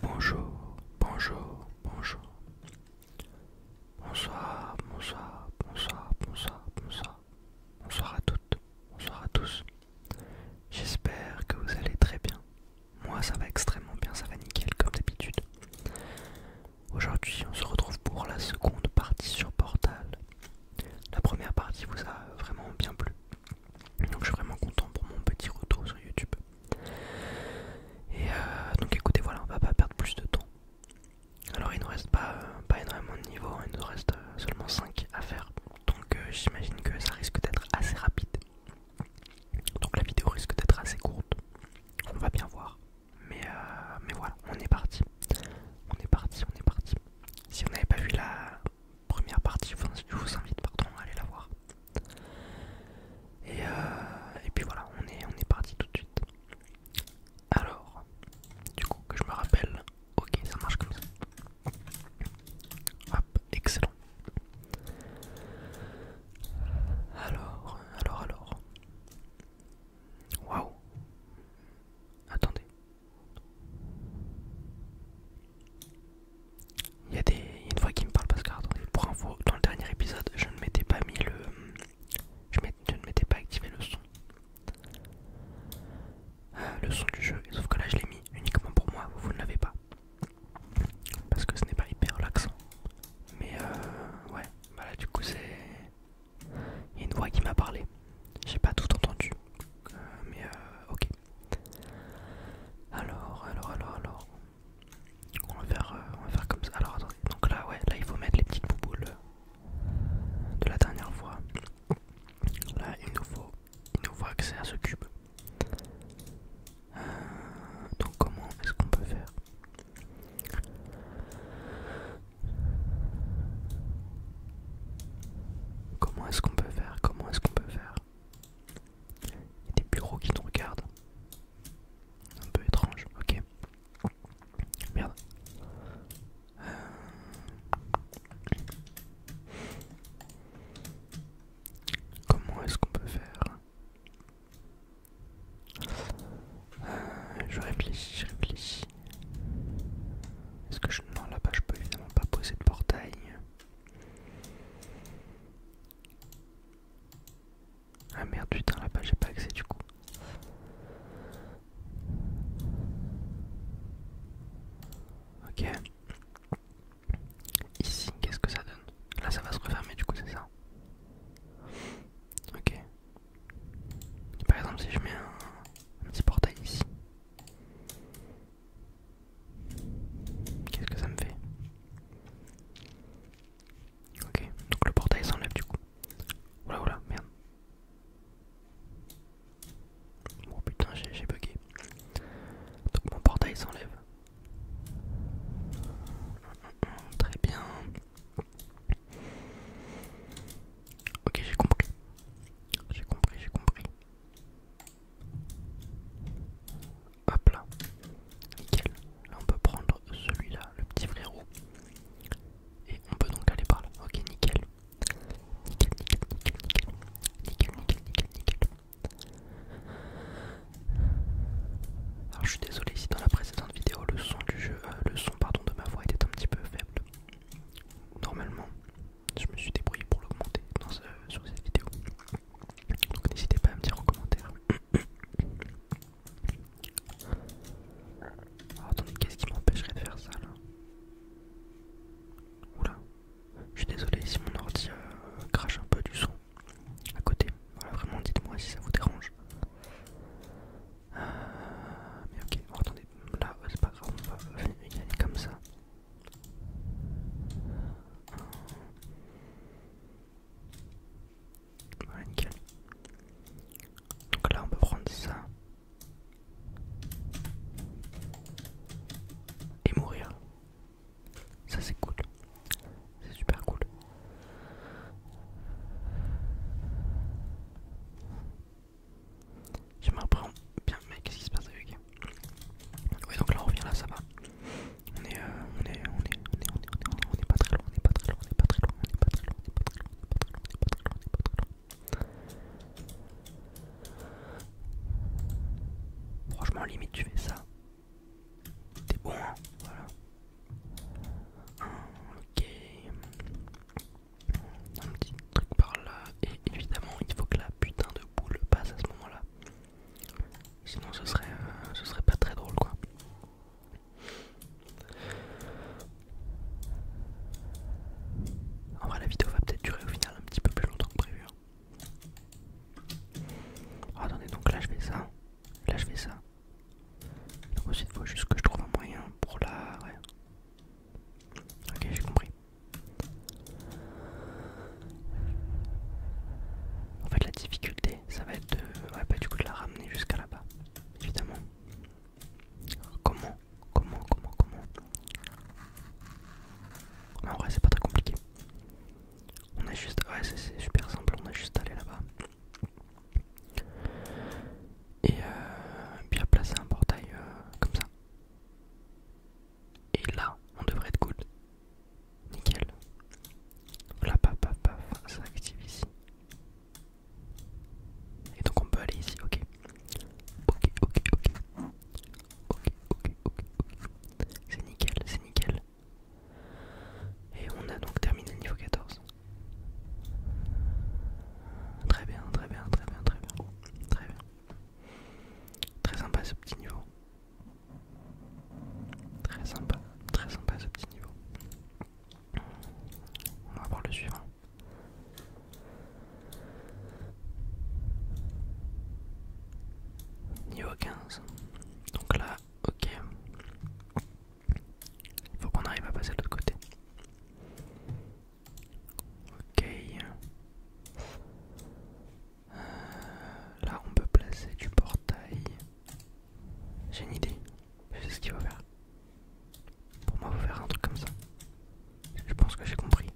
Bonjour, bonjour, bonjour. Bonsoir, bonsoir, bonsoir, bonsoir, bonsoir. Bonsoir à toutes, bonsoir à tous. J'espère que vous allez très bien. Moi ça va extrêmement bien, ça va nickel comme d'habitude. Aujourd'hui on se retrouve pour la seconde partie sur Portal. La première partie vous a vraiment bien plu. Donc je suis vraiment content pour mon petit retour sur YouTube. Et euh, donc écoutez, voilà, on va pas perdre plus de temps. Alors il nous reste pas, euh, pas énormément de niveaux, il nous reste euh, seulement 5 à faire. Donc j'imagine que ça risque d'être assez rapide. Donc la vidéo risque d'être assez courte. On va bien voir. Mais, mais voilà, on est parti. On est parti, on est parti. Si vous n'avez pas vu la première partie, je vous invite pardon, à aller la voir. Euh, et, puis voilà, on est, on est parti tout de suite. Alors, du coup, que je me rappelle, ok, ça marche comme ça. Hop, excellent. Alors, alors, alors. Waouh. Attendez. Il y, a des... une voix qui me parle parce que, attendez, pour info, dans le dernier épisode, je ne m'étais pas mis le. Je, ne m'étais pas activé le son. Euh, le son du jeu, sauf que là je l'ai mis uniquement pour moi, vous ne l'avez pas. Parce que ce n'est pas hyper relaxant. Mais euh, ouais, voilà, bah du coup c'est. Il y a une voix qui m'a parlé. J'ai pas tout entendu. Euh, mais euh, ok. Alors, alors, alors, alors. Euh, on va faire, comme ça. Alors attendez, donc là ouais, là il faut mettre les petites bouboules euh, de la dernière fois. Là il nous faut, il accès à ce cube. Euh, donc comment est-ce qu'on peut faire Comment est-ce qu'on peut faire Comment est-ce qu'on peut faire il y a des bureaux qui te regardent. Un peu étrange, ok. Merde. Euh. Comment est-ce qu'on peut faire euh, Je réfléchis, je réfléchis. Est-ce que je. Non, là-bas, je peux évidemment pas poser de portail. Ah merde putain là-bas j'ai pas accès du coup. Ok. Ici, qu'est-ce que ça donne Là ça va se refermer du coup c'est ça. Ok. Par exemple si je mets un, un petit portail ici. Qu'est-ce que ça me fait Ok, donc le portail s'enlève du coup. Oula oula, merde. Oh putain, j'ai bugué. Donc mon portail s'enlève. Très bien. Ok, j'ai compris. J'ai compris, j'ai compris. Hop là. Nickel. Là on peut prendre celui-là, le petit roux. Et on peut donc aller par là. Ok, nickel. Nickel, nickel, nickel, nickel. Nickel, nickel, Alors je suis désolé si dans la précédente vidéo le son du jeu, euh, le son pardon de ma voix était un petit peu faible. Normalement, je me suis débrouillé pour l'augmenter dans sur cette vidéo. Donc n'hésitez pas à me dire en commentaire. Ah, attendez, qu'est-ce qui m'empêcherait de faire ça là Oula, je suis désolé si mon ordi euh, crache un peu du son à côté. vraiment, dites-moi si ça vous dérange. Euh, mais ok, oh, attendez, là euh, c'est pas grave, on va y aller comme ça. Voilà, Donc là, on peut prendre ça. Et mourir. Ça, c'est cool. C'est super cool. Je me reprends bien, mais qu'est-ce qui se passe avec Oui, donc là on revient là, ça va. Euh, on est, on est, on on est, pas très loin, on est pas très loin, on est pas très loin, on est pas très loin, Franchement, limite tu fais ça. T'es bon, hein, voilà. Ok. Un petit truc par là. Et évidemment, il faut que la putain de boule passe à ce moment-là. Sinon ce serait, euh, ce serait pas très drôle quoi. En vrai la vidéo va peut-être durer au final un petit peu plus longtemps que prévu. Hein. Oh, attendez donc là je fais ça. Là je fais ça. Donc ensuite il faut juste que je trouve un moyen pour la... Ok j'ai compris. En fait la difficulté ça va être de bah, du coup de la ramener jusqu'à là-bas évidemment comment comment comment comment en vrai c'est pas très compliqué on a juste ouais c'est super simple on a juste allé là-bas et, euh, puis à placer un portail euh, comme ça et là on devrait être good Nickel. Voilà, paf, paf, paf, ça active ici. Et donc on peut aller ici, ok. Ok, ok, ok. Ok, ok, ok, C'est nickel, c'est nickel. Et on a donc terminé le niveau 14. Très bien, très bien, très bien, très bien. Très bien. Très sympa ce petit niveau. Très sympa, très sympa ce petit niveau. On va voir le suivant. Niveau 15. Donc là, ok. Il faut qu'on arrive à passer de l'autre côté. Ok. Euh, là, on peut placer du portail. J'ai une idée. Je sais ce qu'il va faire. Pour moi, il faire un truc comme ça. Je pense que j'ai compris.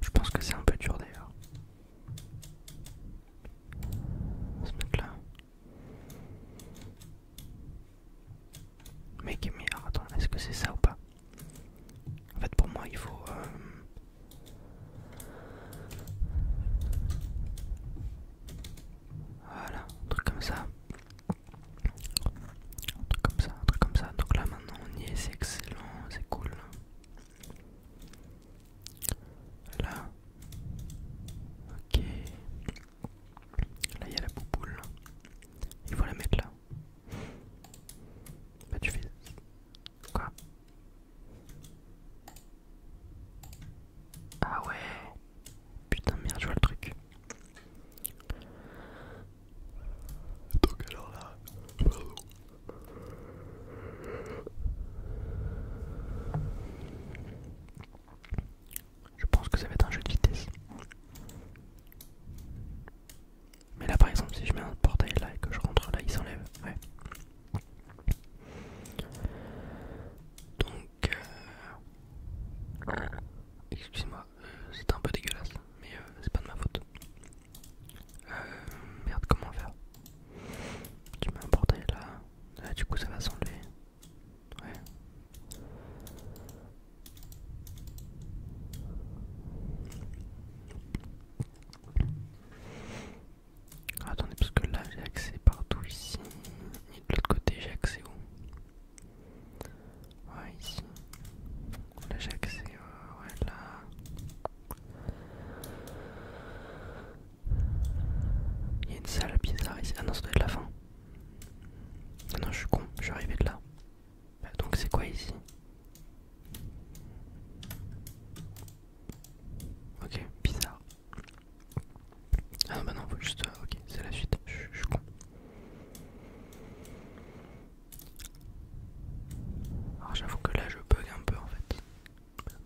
Je pense que c'est un peu dur d'ailleurs. On va mettre là. Mais, mais attends, est-ce que c'est ça ou pas En fait, pour moi, il faut. Euh, voilà, un truc comme ça. Un truc comme ça, un truc comme ça. Donc là maintenant on y est, c'est excellent, c'est cool. Là. Ok. Là il y a la bouboule. Il faut la mettre là. pas bah, tu fais Quoi Ah ouais Putain merde je vois le truc alors là Je pense que ça va être un jeu de vitesse mais là par exemple si je mets un portail là et que je rentre là il s'enlève ouais donc, euh, excuse-moi, euh, c'est un peu dégueulasse, mais euh, c'est pas de ma faute. Euh, merde, comment faire Tu m'as emporté là, ah, du coup ça va s'enlever. Ouais. Attendez, parce que là j'ai accès partout ici. Et de l'autre côté, j'ai accès où Ouais, ici. Là j'ai accès. Euh, ouais, là. Il y a une salle bizarre ici. Ah non, ça doit être la fin. Ah non, je suis con, je suis arrivé de là. Bah, donc c'est quoi ici Ok, bizarre. Ah non, bah non, juste. Euh, ok, c'est la suite. Je suis con. Alors j'avoue que là je bug un peu en fait.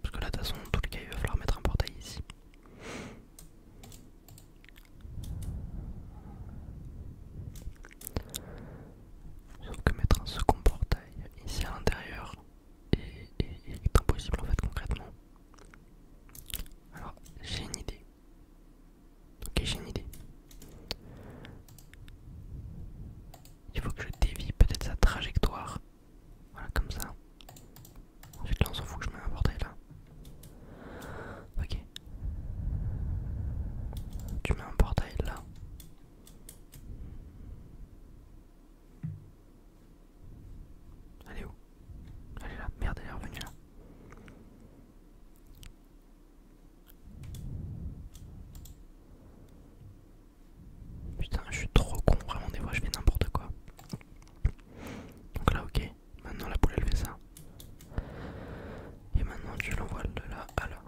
Parce que là de toute façon tout le cas il va falloir mettre un portail ici. Sauf que mettre un second portail ici à l'intérieur et impossible en fait concrètement. Alors j'ai une idée. Ok j'ai une idée. Il faut que je dévie peut-être sa trajectoire. Voilà comme ça. Ensuite là on s'en fout que je mets un portail là. Hein. Ok. Tu mets un portail là. Elle est où Elle est là, merde, elle est revenue là. Putain, je suis trop con, vraiment, des fois je fais n'importe quoi. Donc là, ok, maintenant la poule elle fait ça. Et maintenant tu l'envoies de là à là.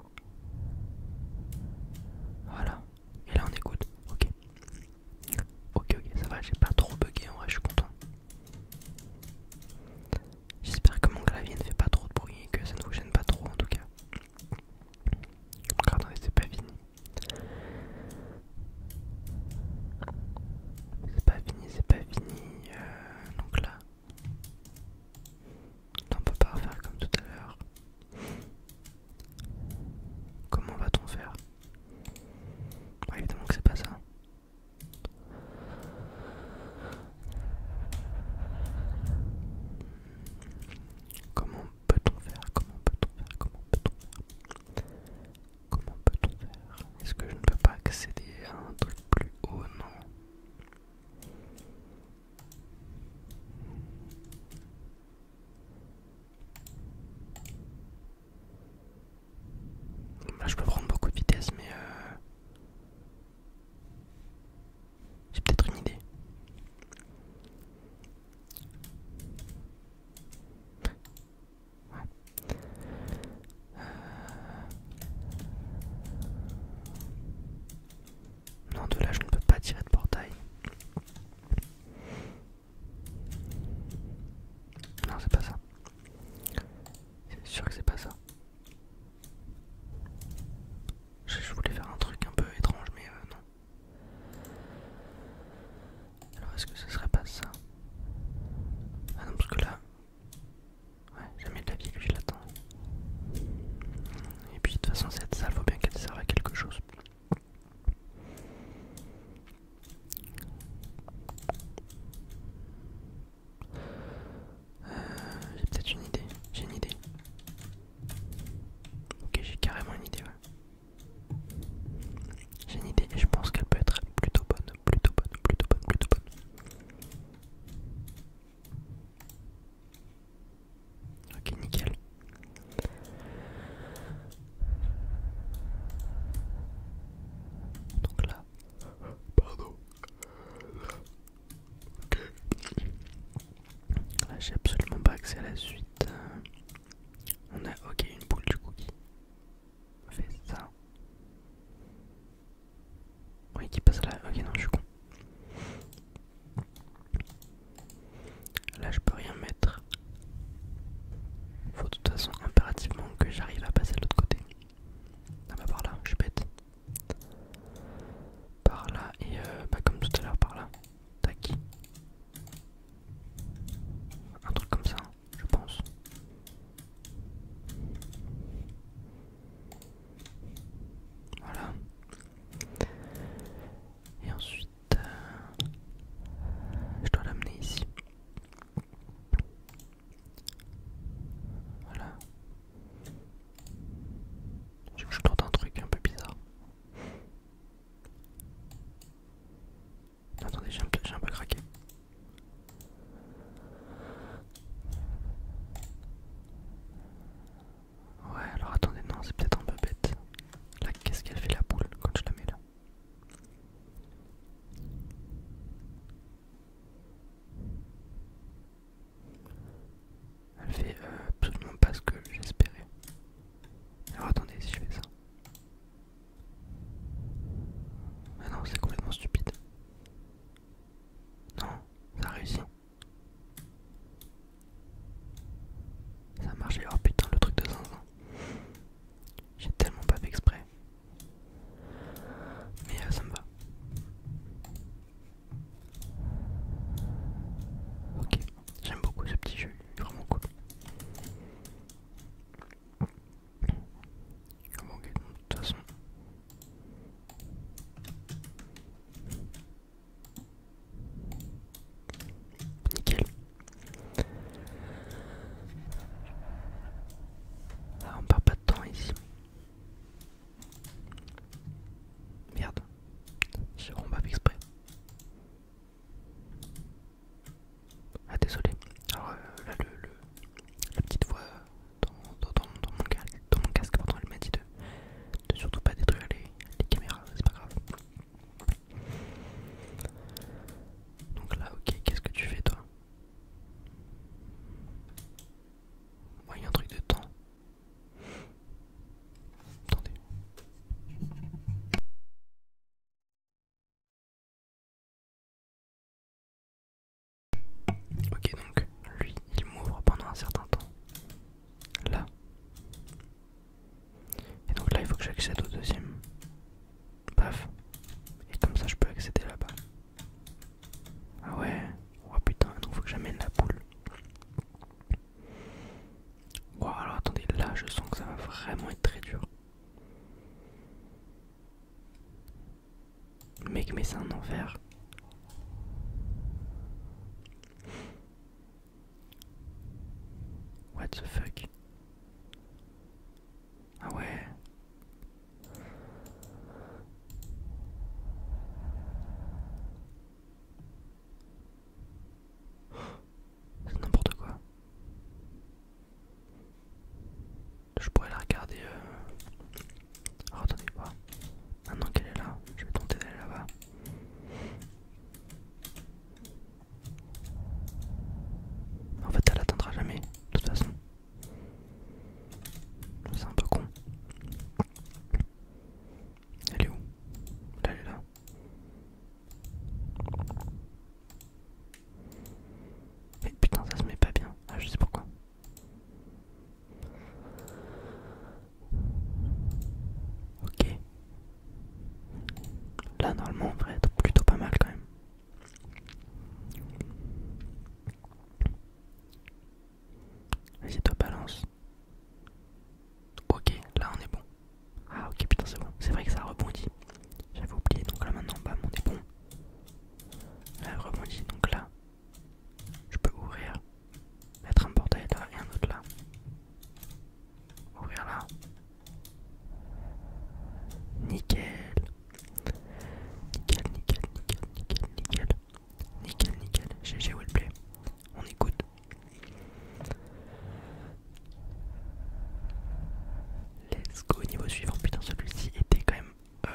Voilà, et là on écoute, ok. Ok, ok, ça va, j'ai pas trop bugué, en vrai je suis content. J'espère que mon clavier ne fait pas trop de bruit et que ça ne vous gêne pas trop en tout cas. Regardez, c'est pas fini. C'est pas fini, c'est pas fini. Euh, donc là, on peut pas refaire comme tout à l'heure. Comment va-t-on faire Évidemment que c'est pas ça. Comment peut-on faire Comment peut-on faire Comment peut-on faire Comment peut-on faire Est-ce que je ne peux pas accéder à un truc plus haut Non. Là je peux prendre beaucoup de vitesse mais euh, j'ai peut-être une idée. Euh. Non de là je ne peux pas tirer de portail. Non, c'est pas ça. C'est sûr que c'est pas ça. Je, voulais faire un truc un peu étrange, mais euh, non. Alors, est-ce que ce serait pas ça Ah non, parce que là. Ouais, jamais de la vie que je Et puis de toute façon cette salle faut bien qu'elle serve à quelque chose. Euh, j'ai peut-être une idée, j'ai une idée. Ok, j'ai carrément une idée, ouais. J'ai une idée et je pense qu'elle peut être plutôt bonne, plutôt bonne, plutôt bonne, plutôt bonne. Ok, nickel. Donc là, pardon. Là, j'ai absolument pas accès à la suite. On a ok une boule du cookie. fait ça. Oui, qui passe là. Ok, non, je suis con. Là je peux rien mettre. Faut de toute façon impérativement que j'arrive à passer de l'autre côté. Ah bah par là, je suis bête. Par là et euh, bah, comme tout à l'heure par là. Tac. Un truc comme ça, je pense. Voilà. Et ensuite je dois l'amener ici. Voilà. Je, je un truc un peu bizarre. Attendez, j'ai un peu craqué. Ouais, alors attendez, non, c'est peut-être un peu bête. Là, qu'est-ce qu'elle fait la boule quand je la mets là Elle fait euh, absolument pas ce que j'espérais. Alors attendez, si je fais ça. Mais ah non, c'est complètement stupide. Non, ça réussit. Ça marche, alors oh putain, le truc de zinzin. J'ai tellement pas fait exprès. Mais euh, ça me va. Ok, j'aime beaucoup ce petit jeu, vraiment cool. de toute façon. Nickel. Ah, on part pas de temps ici. Merde. ne suis pas exprès. Ah désolé. Alors euh, là le, la petite voix dans, mon, casque m'a dit de, surtout pas détruire les caméras, c'est pas grave. Donc là, ok, qu'est-ce que tu fais toi il y a un truc de temps. Attendez. Ok donc lui il m'ouvre pendant un certain temps. Là. Et donc là il faut que j'accède au deuxième. Paf. Et comme ça je peux accéder là-bas. Ah ouais. Oh putain, donc faut que j'amène la poule. Bon alors attendez, là je sens que ça va vraiment être très dur. Mec, mais c'est un enfer. What the fuck Ah ouais C'est n'importe quoi. Je pourrais la regarder. Euh. Oh, attendez pas. Oh. Maintenant qu'elle est là, je vais tenter d'aller là-bas. En fait, elle attendra jamais, de toute façon. C'est un peu con. Elle est où elle est là. Mais putain, ça se met pas bien. Ah, je sais pourquoi. Ok. Là, normalement, on va être plutôt pas mal quand même. Vas-y, toi, balance. Ok, là, on est bon. Ah, ok, putain, c'est bon. C'est vrai que ça rebondit. J'avais oublié, donc là, maintenant, bam, on est bon. Là, rebondit, donc là, je peux ouvrir, mettre un portail là et un autre là. Ouvrir là. Nickel. Nickel, nickel, nickel, nickel, nickel. Nickel, nickel. GG Wellplay. On écoute. Let's go niveau suivant. Putain celui-ci était quand même... Euh...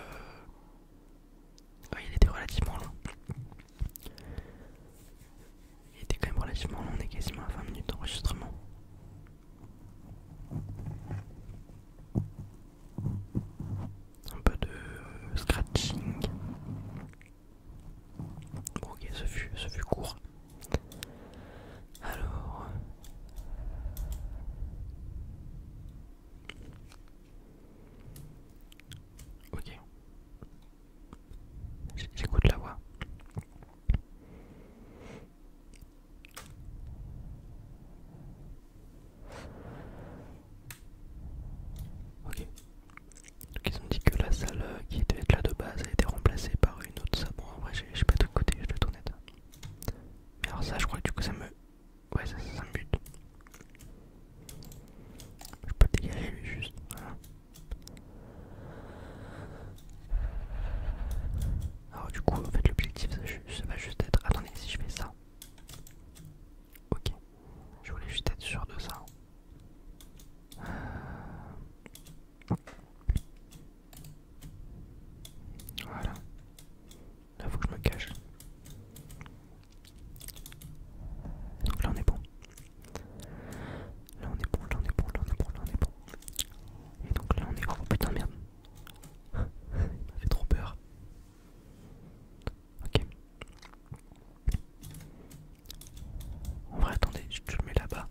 il était relativement long. Il était quand même relativement long, on est quasiment à 20 minutes d'enregistrement. Un peu de euh, scratching. ok, ce fut court. Alors. Euh, ok. J'écoute la voix. Ok. Donc ils ont dit que la salle euh, qui était là de base a été remplacée par une autre salle. Bon, en vrai, j'ai pas de côté, je être honnête. Mais alors, ça, je crois que du coup, ça me. Ouais, ça, me bute. Je peux dégager lui juste. Voilà. Hein. Alors du coup en fait l'objectif ça va juste être... Attendez si je fais ça. Ok. Je voulais juste être sûr de ça. Voilà. Là faut que je me cache. Donc là on est bon. Là on est bon, là on est bon, là on est bon, là on est bon. Et donc là on est... Oh putain merde Il m'a fait trop peur. Ok. On va attendez, je mets là-bas.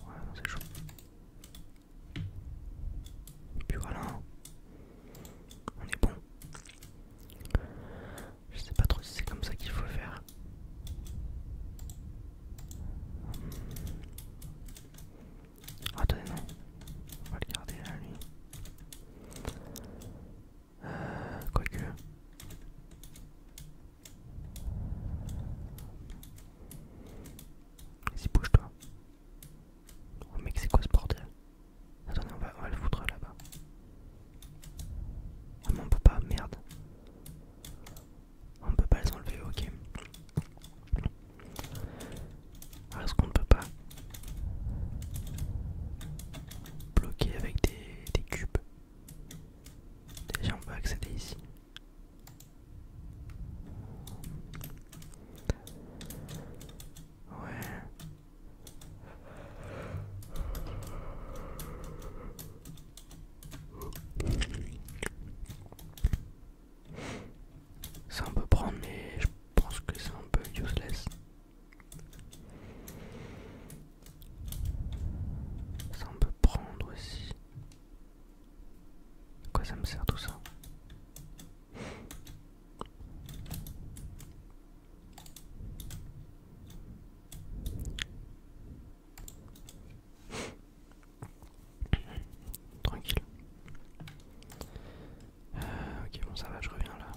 Ouais, c'est chaud. Et puis voilà, on est bon. Je sais pas trop si c'est comme ça qu'il faut faire. Ah, attendez, non. On va le garder là, lui. Quoi euh, Quoique. Si bouge-toi. Oh, mec, c'est quoi ce bordel Attendez, on va le foutre là-bas. Ah, on peut pas, merde. On peut pas les enlever, ok. est-ce qu'on ne peut pas bloquer avec des, des cubes Déjà on peut accéder ici. Ouais. C'est un peu prendre, mais je pense que c'est un peu useless. Ça on peut prendre aussi. quoi ça me sert tout ça Tranquille. Euh, ok, bon, ça va, je reviens là.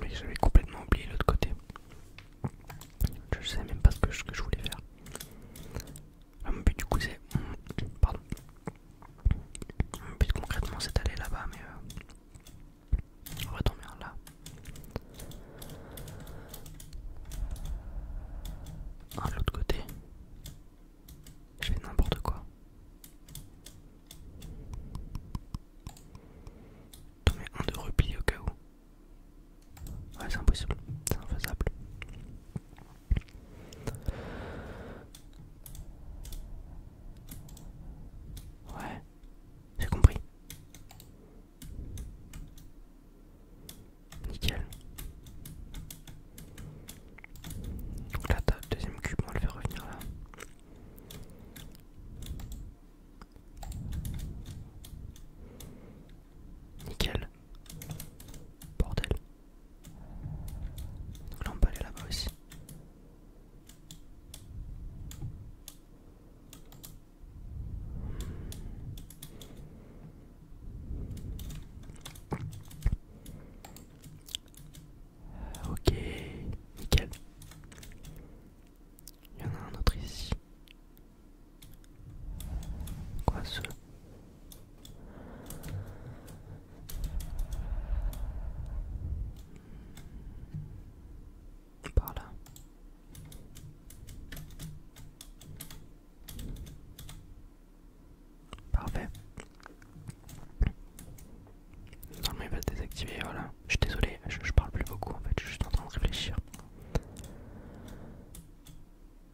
Mais j'avais complètement oublié l'autre côté. Je sais même pas ce que je, voulais faire. Ah, mon but du coup c'est... Pardon. Mon but concrètement c'est d'aller là-bas mais... Euh... On va tomber là. Ah, de l'autre côté. Je fais n'importe quoi. Tomber un de repli au cas où. Ouais, c'est impossible, c'est infaisable. Ouais, j'ai compris. Nickel. Donc là, t'as le deuxième cube, on va le faire revenir là. Nickel. Bordel. Donc là on peut aller là-bas aussi. Euh, ok, nickel. Il y en a un autre ici. Quoi ce Par là. Parfait. il va le désactiver, voilà. Je suis désolé, je, parle plus beaucoup en fait, je suis en train de réfléchir.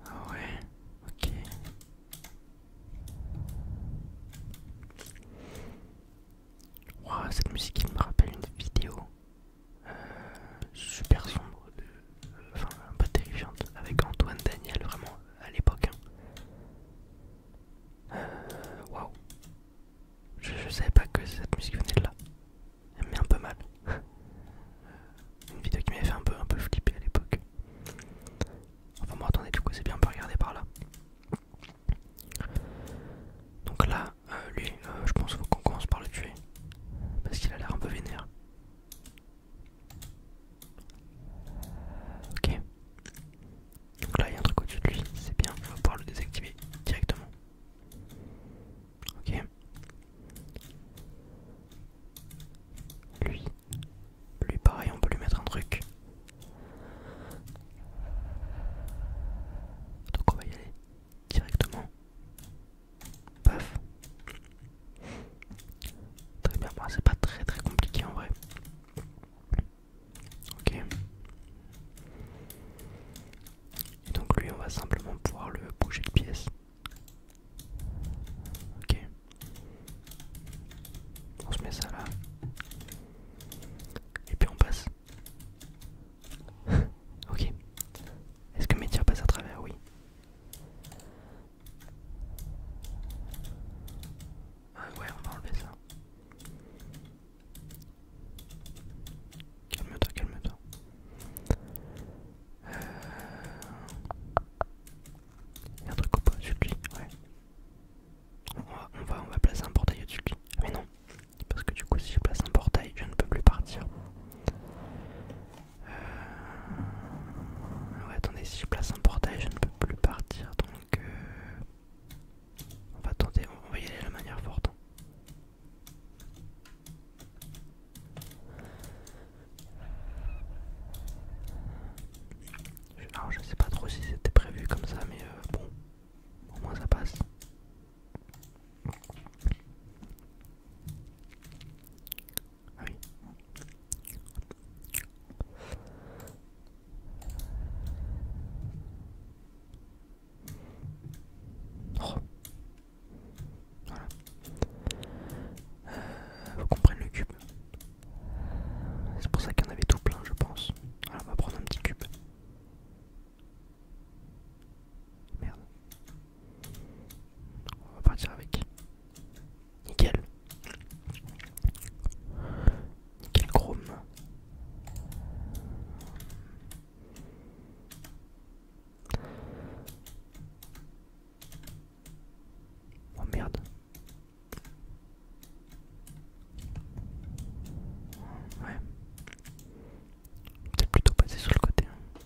Ah ouais, ok. Wow, cette musique me rappelle une vidéo euh, super sombre, euh, enfin un peu terrifiante, avec Antoine Daniel vraiment à l'époque. Hein. Euh, waouh, je, je savais pas que cette musique venait de là elle me met un peu mal. Une vidéo qui m'avait fait un peu, un peu flipper à l'époque. Enfin bon attendez, du coup c'est bien, on peut regarder par là. Donc là, euh, lui, euh, je pense qu'on commence par le tuer. Parce qu'il a l'air un peu vénère. Ok. Donc là, il y a un truc au-dessus de lui, c'est bien, on va pouvoir le désactiver directement. Ok. Lui. Lui pareil, on peut lui mettre un truc. Donc on va y aller directement. Paf. Très bien, moi c'est pas très très compliqué en vrai. Ok. donc lui on va simplement pouvoir le bouger de pièce. Ok. On se met ça là. Et puis on passe. ok. Est-ce que mes tirs passent à travers Oui. Ah ouais, on va enlever ça. Calme-toi, calme-toi. Euh, un truc au Dessus de Ouais. On va, on va, placer un portail au-dessus ah, Mais non, parce que du coup, si je place un portail, je ne peux plus partir. Euh, ouais, attendez, si je place un portail, je ne peux plus partir. Donc, euh, on va tenter, on va y aller de la manière forte je sais pas trop si c'était prévu comme ça mais euh, bon au moins ça passe. Ah oh. Voilà. il euh, faut qu'on prenne le cube. C'est pour ça qu'il y en avait tout plein, je pense. on va prendre un petit cube. Merde. On va partir avec. Nickel. Nickel chrome. Oh merde. Ouais. C'est plutôt passer sur le côté. Hein.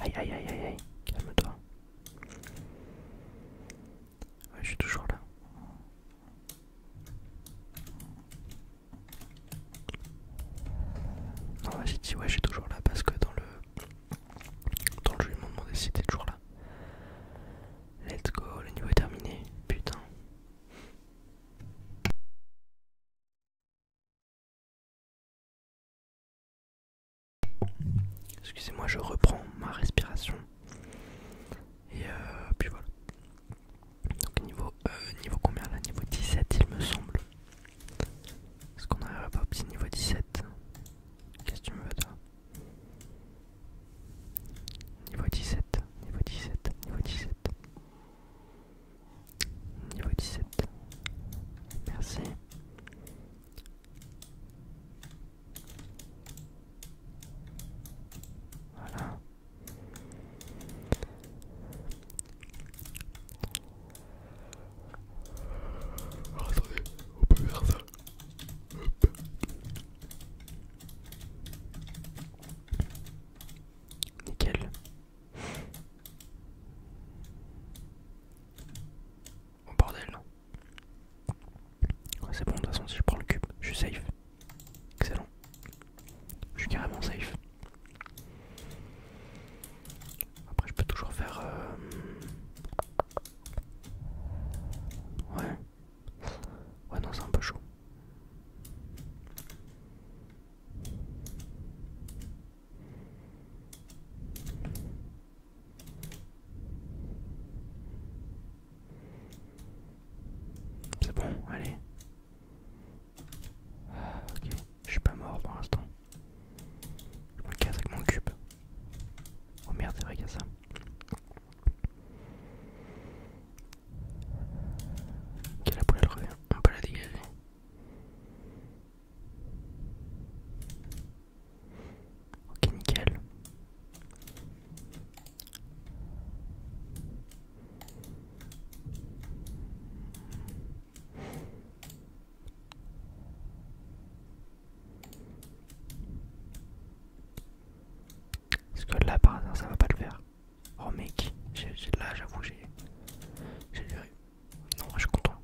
Aïe aïe aïe aïe aïe, calme-toi. Ouais, je suis toujours là. Non, ah j'ai dit ouais, je suis toujours là parce que dans le, dans le jeu, ils m'ont demandé si t'es toujours là. Let's go, le niveau est terminé. Putain. Excusez-moi, je reprends ma respiration. Et euh, puis voilà. Donc niveau, euh, niveau combien là Niveau 17 il me semble. Est-ce qu'on arriverait pas au petit niveau 17 Qu'est-ce que tu me veux toi Niveau 17, niveau 17, niveau 17. Niveau 17. Merci. Voilà. Alors, attendez, on peut faire ça. Hop. Nickel. Oh bordel c'est bon de toute façon si je prends le cube, je suis safe. Excellent. Je suis carrément safe. Après, je peux toujours faire. Euh, ouais. Ouais, non, c'est un peu chaud. C'est bon, allez. Ah, ok, je suis pas mort pour l'instant. Je me casse avec mon cube. Oh merde, c'est vrai qu'il y a ça. Ok, la elle revient. On peut la dégager. Ok, nickel. Parce que là par hasard ça va pas le faire. Oh mec, là j'avoue j'ai... J'ai rire. Non je suis content.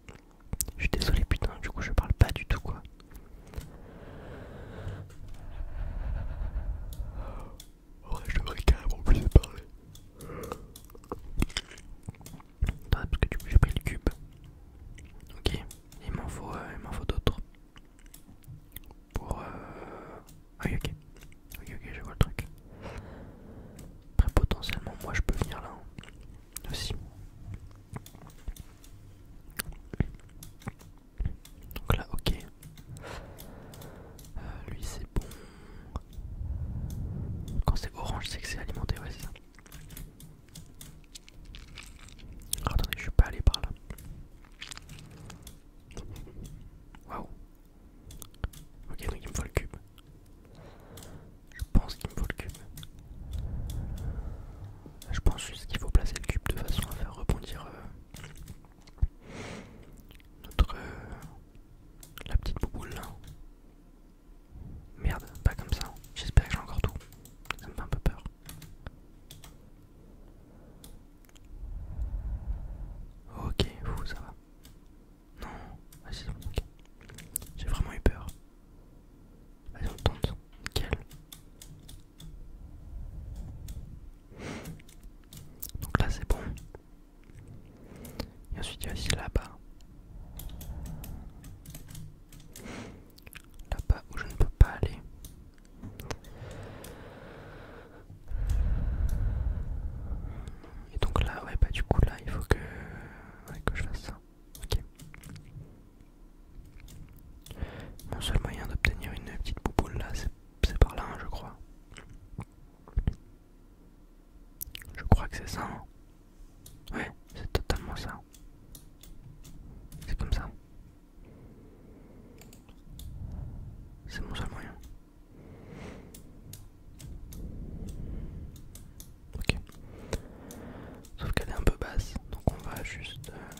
Je suis désolé putain, du coup je parle pas du tout quoi. Oh, je devrais carrément plus parler. Attends, parce que du coup j'ai pris le cube. Ok, il m'en faut, euh, m'en faut d'autres. Pour... Euh... Ah oui, ok. Ok, je vois le truc. Après potentiellement moi je peux venir là. Hein, aussi. Donc là, ok. Euh, lui c'est bon. Quand c'est orange, c'est que c'est alimenté, ouais, c'est ça. Oh, attendez, je suis pas allé par là. Waouh. Ok, donc il me faut le cube. Je pense qu'il me faut le cube. Je pense juste qu'il faut placer le cube de façon à faire rebondir euh, notre euh, la petite bouboule là. Merde, pas comme ça. J'espère que j'ai encore tout. Ça me fait un peu peur. Ok, vous, ça va. Non, vas-y, J'ai vraiment eu peur. Vas-y, on tente. Nickel. Donc là, c'est bon. Et ensuite il y a aussi là-bas. Là-bas où je ne peux pas aller. Et donc là, ouais, bah du coup là, il faut que, je fasse ça. Mon seul moyen d'obtenir une petite bouboule là, c'est par là, hein, je crois. Je crois que c'est ça. Hein. ouais, c'est totalement ça. C'est comme ça. C'est mon seul moyen. Ok. Sauf qu'elle est un peu basse, donc on va juste... Euh,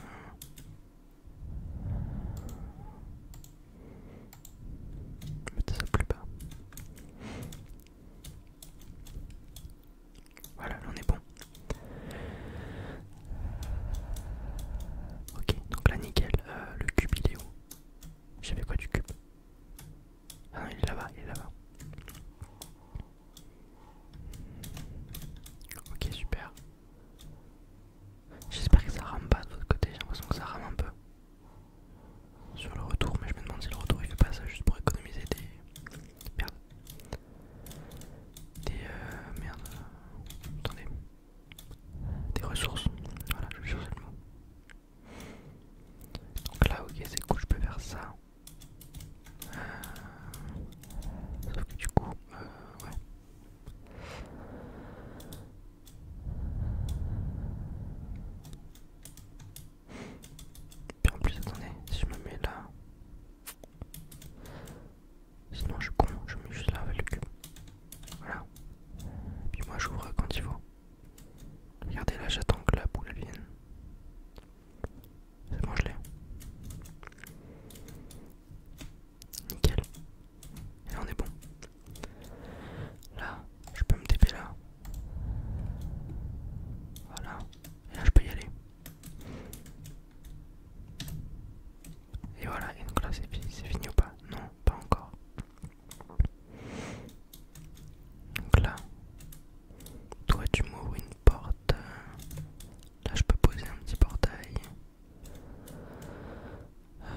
mettre ça plus bas. Voilà, on est bon. Ok, donc là nickel. Euh, le cube il est où J'avais quoi du cube Ah non, il est là-bas, il est là-bas. Ok, super. J'espère que ça rame pas de votre côté, j'ai l'impression que ça rame un peu sur le retour, mais je me demande si le retour il fait pas ça juste pour économiser des. Merde. Des. Euh, merde. Attendez. Des ressources. Voilà, je vais changer le mot. Donc là, ok, c'est cool, je peux faire ça. Euh, sauf que du coup, euh, ouais. Et Puis en plus, attendez, si je me mets là. Sinon, je suis con, je mets juste là avec le cube. Voilà. Puis moi, j'ouvre quand il faut. Regardez là, j'attends que la boule vienne. C'est bon, je l'ai. Nickel. Et on est bon. Là, je peux me taper là. Voilà. Et là, je peux y aller. Et voilà, et donc là, c'est fini, ou pas Non, pas encore. Donc là, toi, tu m'ouvres une porte. Là, je peux poser un petit portail. Euh,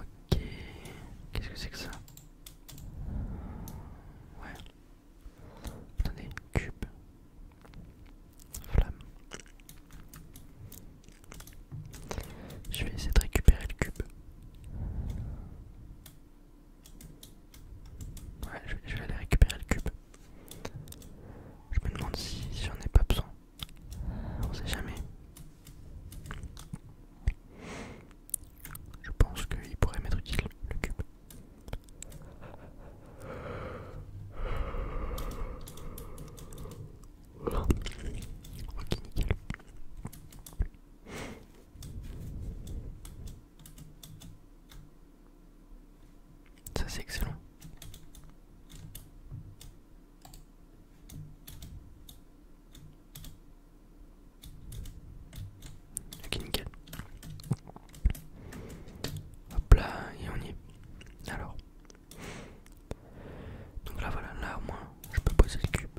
ok, qu'est-ce que c'est que ça Ouais. Attendez, cube. Flamme. Je vais essayer de récupérer le cube. Ouais, je vais, aller récupérer le cube. Je me demande si, si j'en ai pas besoin. On sait jamais. Je pense qu'il pourrait mettre utile, le cube. Ça c'est excellent. Ok, nickel. Hop là, et on y est. Alors. Donc là, voilà, là au moins, je peux poser le cube.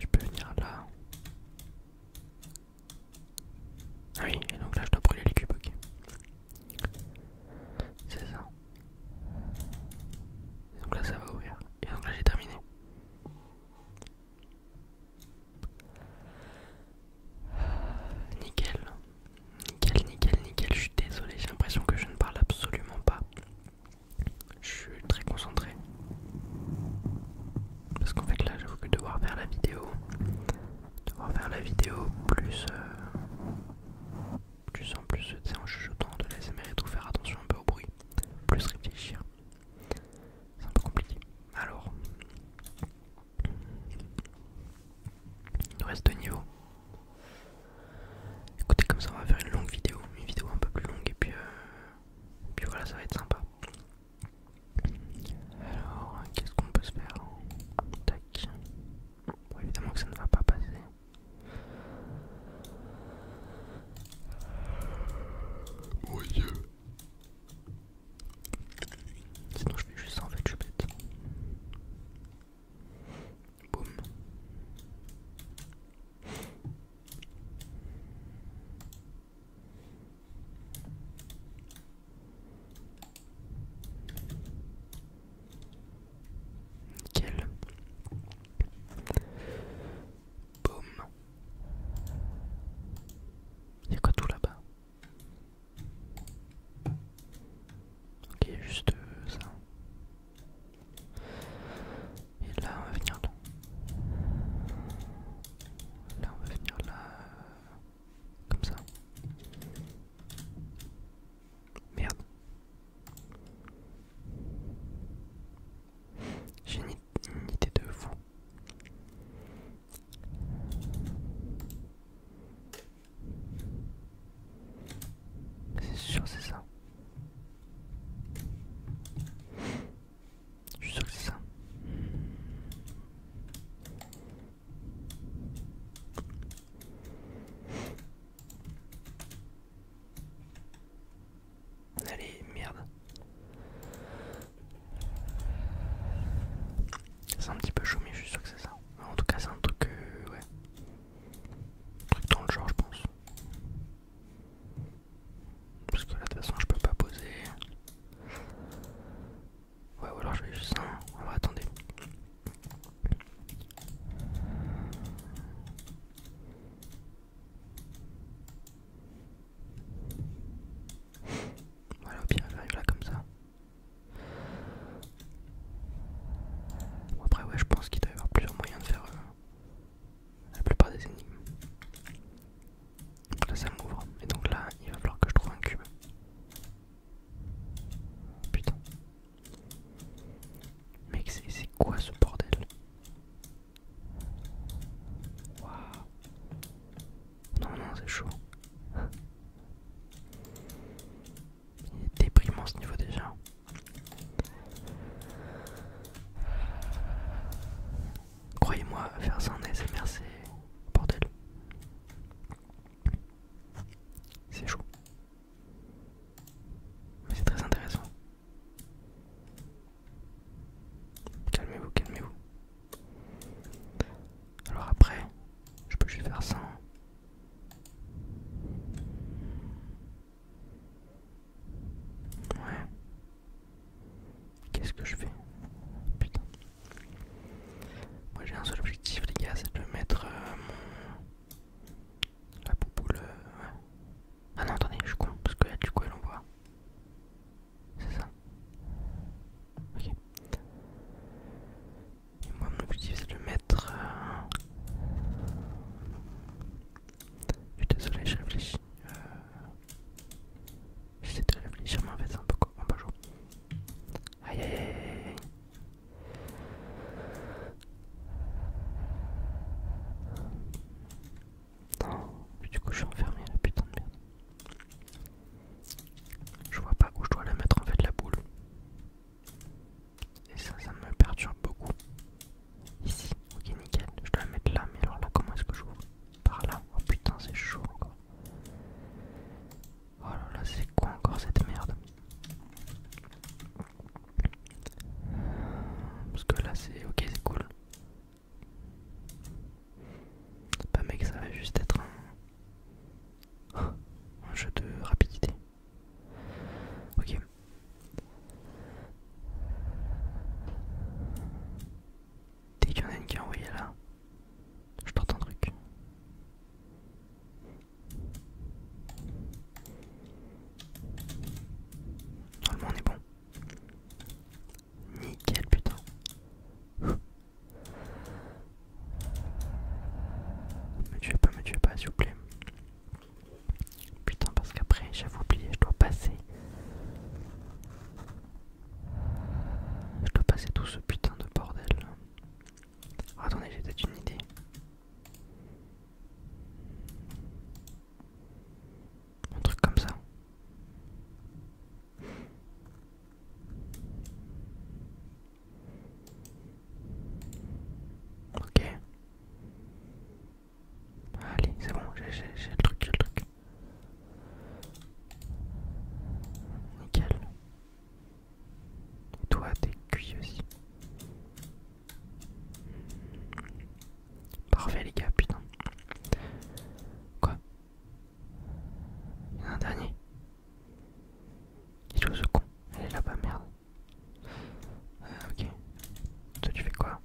Je peux venir là. Ah oui, et donc là, je dois brûler le cube, ok. C'est ça. Donc là ça va ouvrir. Et donc là j'ai terminé. Nickel. Nickel, nickel, nickel. Je suis désolé, j'ai l'impression que je ne parle absolument pas. Je suis très concentré. Parce qu'en fait là j'avoue que devoir faire la vidéo. Devoir faire la vidéo plus... Euh, plus en plus, c'est en chuchotant de l'ASMR et tout, faire attention un peu au bruit, plus réfléchir. C'est un peu compliqué. Alors, il nous reste de niveau. Écoutez, comme ça, on va faire une longue vidéo, une vidéo un peu plus longue, et puis, euh, puis voilà, ça va être sympa. Alors, qu'est-ce qu'on peut se faire hein Tac. évidemment que ça ne va pas passer. Mon dieu. Sinon je fais juste ça en fait, je suis bête. Boum. Quel Boum. Il y a quoi tout là-bas Ok, juste ça. Et là, on va venir là. Là, on va venir là. Comme ça. Merde. J'ai une, idée de vous. C'est sûr, c'est ça. Je suis sûr que c'est ça. Allez, merde. C'est un petit peu chaud, mais je suis sûr que c'est ça. En tout cas, c'est un truc. Euh, ouais. Un truc dans le genre, je pense. Parce que là, de toute façon, je peux pas poser. Ouais, ou alors je vais juste. un. Hein. on va attendre. Voilà, au pire, là comme ça. après, ouais, je pense qu'il doit y avoir plusieurs moyens de faire euh, la plupart des énigmes. là, ça m'ouvre, et donc là, il va falloir que je trouve un cube. Putain, Mec, c'est quoi ce bordel Waouh Non, non, c'est chaud. Il est déprimant ce niveau déjà. Croyez-moi, faire ça en ASMR, c'est bordel. C'est chaud. Mais c'est très intéressant. Calmez-vous, calmez-vous. Alors après, je peux juste faire ça. Ouais. Qu'est-ce que je fais Putain. Moi j'ai un seul objectif les gars, c'est de mettre euh, mon la pouboule... Euh, ah non, attendez, je suis con, parce que là, du coup, elle envoie. C'est ça. Ok. Et moi, mon objectif, c'est de mettre. Euh, je suis désolé, je réfléchis. Euh... J'essaie de réfléchir, mais en fait, c'est un peu bah bonjour. Aïe aïe aïe aïe. Non, du coup je suis enfermé là la putain de merde. Je vois pas où je dois la mettre en fait la boule. Et ça, ça me perturbe beaucoup. Ici, ok nickel, je dois la mettre là, mais alors là comment est-ce que je j'ouvre Par là, oh putain c'est chaud encore. Oh là là, c'est quoi encore cette merde parce que là c'est ok, c'est cool. Pas mec, ça va juste être un, jeu de rapidité. Ok. Dès qu'il y en a une qui est envoyée là, je porte un truc le monde est bon. Nickel putain. Me tuez pas, me tuez pas s'il vous plaît. Putain parce qu'après j'avais oublié, je dois passer. Je dois passer tout ce putain de bordel. attendez, j'ai peut-être une idée. Un truc comme ça. Ok. Allez, c'est bon, j'ai le truc, j'ai le truc. Nickel. toi, t'es cuit aussi. Parfait les gars, putain. Quoi Il y en a un dernier. Il joue ce con. Elle est là-bas, merde. Euh, ok. Toi tu fais quoi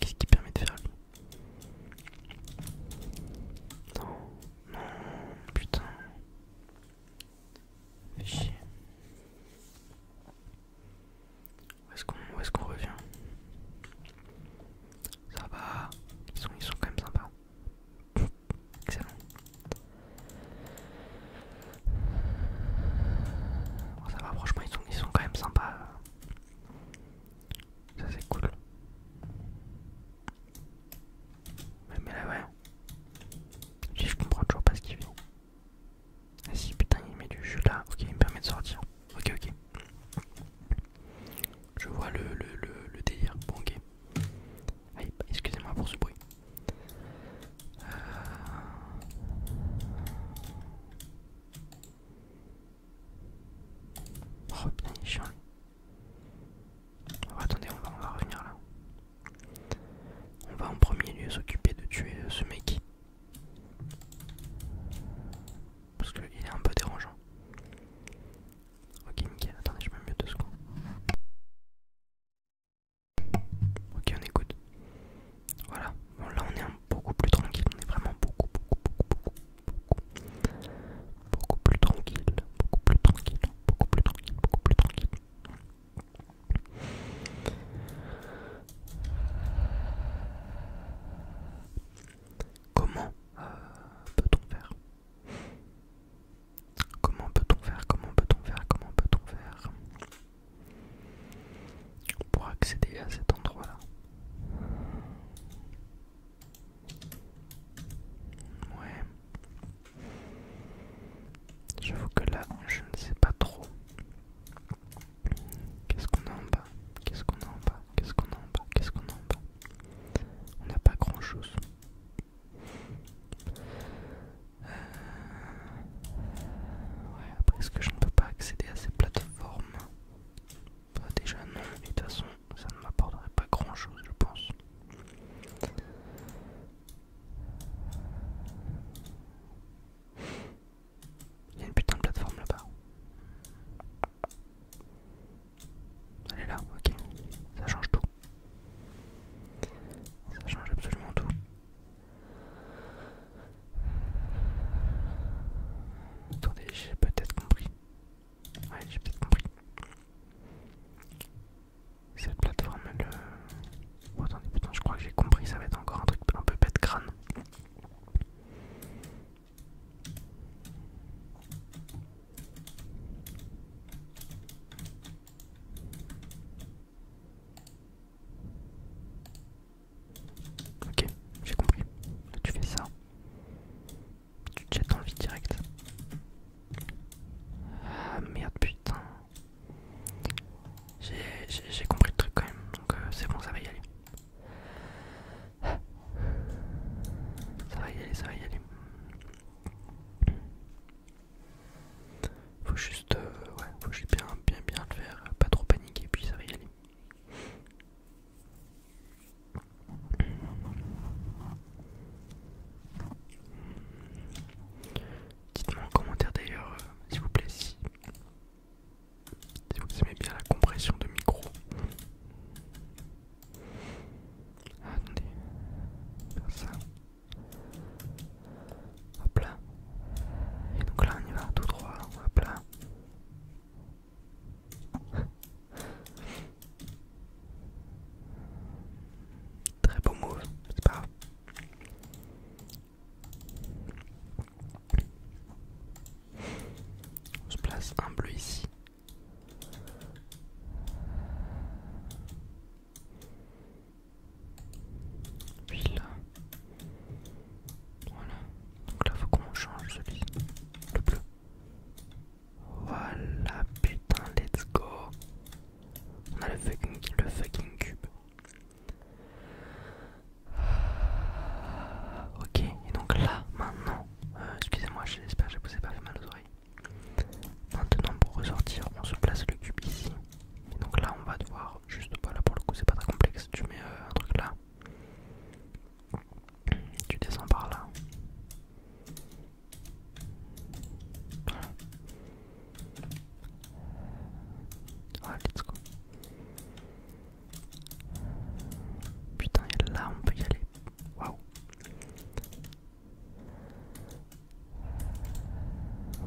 Qu'est-ce qui permet de faire lui non, non, putain. Fais Où est-ce qu'on revient Ça va, ils sont, sont quand même sympas. Excellent. ça va, franchement, ils sont, ils sont quand même sympas. Ça c'est cool. Mais, là ouais. Si je comprends toujours pas ce qu'il vient. Ah, si putain il met du jeu là, ok il me permet de sortir. Ok ok. Je vois le, le, délire. Bon ok. Ah, excusez-moi pour ce bruit. Euh. Oh putain il est chiant. Oh, attendez, on va, revenir là. On va en premier lieu s'occuper de tuer euh, ce mec. Parce qu'il est un peu dérangeant. Ok, nickel. Attendez, je mets mieux deux secondes. Ok, on écoute. Voilà. là, on est beaucoup plus tranquille. On est vraiment beaucoup, beaucoup, beaucoup, beaucoup, beaucoup, plus tranquille, beaucoup plus tranquille, beaucoup plus tranquille, beaucoup plus tranquille. Comment euh, peut-on faire Comment peut-on faire Comment peut-on faire Comment peut-on faire pour accéder à cet endroit-là Ouais. J'avoue que là, je ne sais pas trop. Qu'est-ce qu'on a en bas Qu'est-ce qu'on a en bas Qu'est-ce qu'on a en bas Qu'est-ce qu'on a en bas On n'a pas grand-chose. Euh, ouais, après, est-ce que je ne peux pas accéder à ces plateformes Bah, déjà, non, de toute façon, ça ne m'apporterait pas grand chose je pense. Il y a une putain de plateforme là-bas. Elle est là, ok. Ça change tout. Ça change absolument tout. Attendez, j'ai peut-être compris. Ouais, j'ai peut-être compris. Cette plateforme, le euh, oh, attendez, putain, je crois que j'ai compris, ça va être encore un truc un peu bête crâne. Ok, j'ai compris. tu fais ça. Tu jettes dans le direct. Ah merde, putain. J'ai compris le truc quand même, donc euh, c'est bon, ça va y aller. Ça va y aller, ça va y aller. Faut juste, euh, ouais, faut juste bien, bien, bien le faire, pas trop paniquer, puis ça va y aller. Dites-moi en commentaire d'ailleurs, euh, s'il vous plaît, si, vous aimez bien la compression de micro. Ah, attendez, ça. Hop là. Et donc là on y va tout droit, hop là. Très beau move, c'est pas grave. On se place un bleu ici. Puis là. Voilà. Donc là faut qu'on change celui. Le bleu. Voilà, putain, let's go. On a le fucking, cube. Ah, ok, et donc là, maintenant, euh, excusez-moi, j'espère que je vous ai pas fait mal aux oreilles. Maintenant, pour ressortir, on se place le cube ici. Et donc là, on va devoir, juste pas là pour le coup, c'est pas très complexe. Tu mets euh, un truc là, tu descends par là. Ouais, ah, let's go. Putain, est là on peut y aller. Waouh.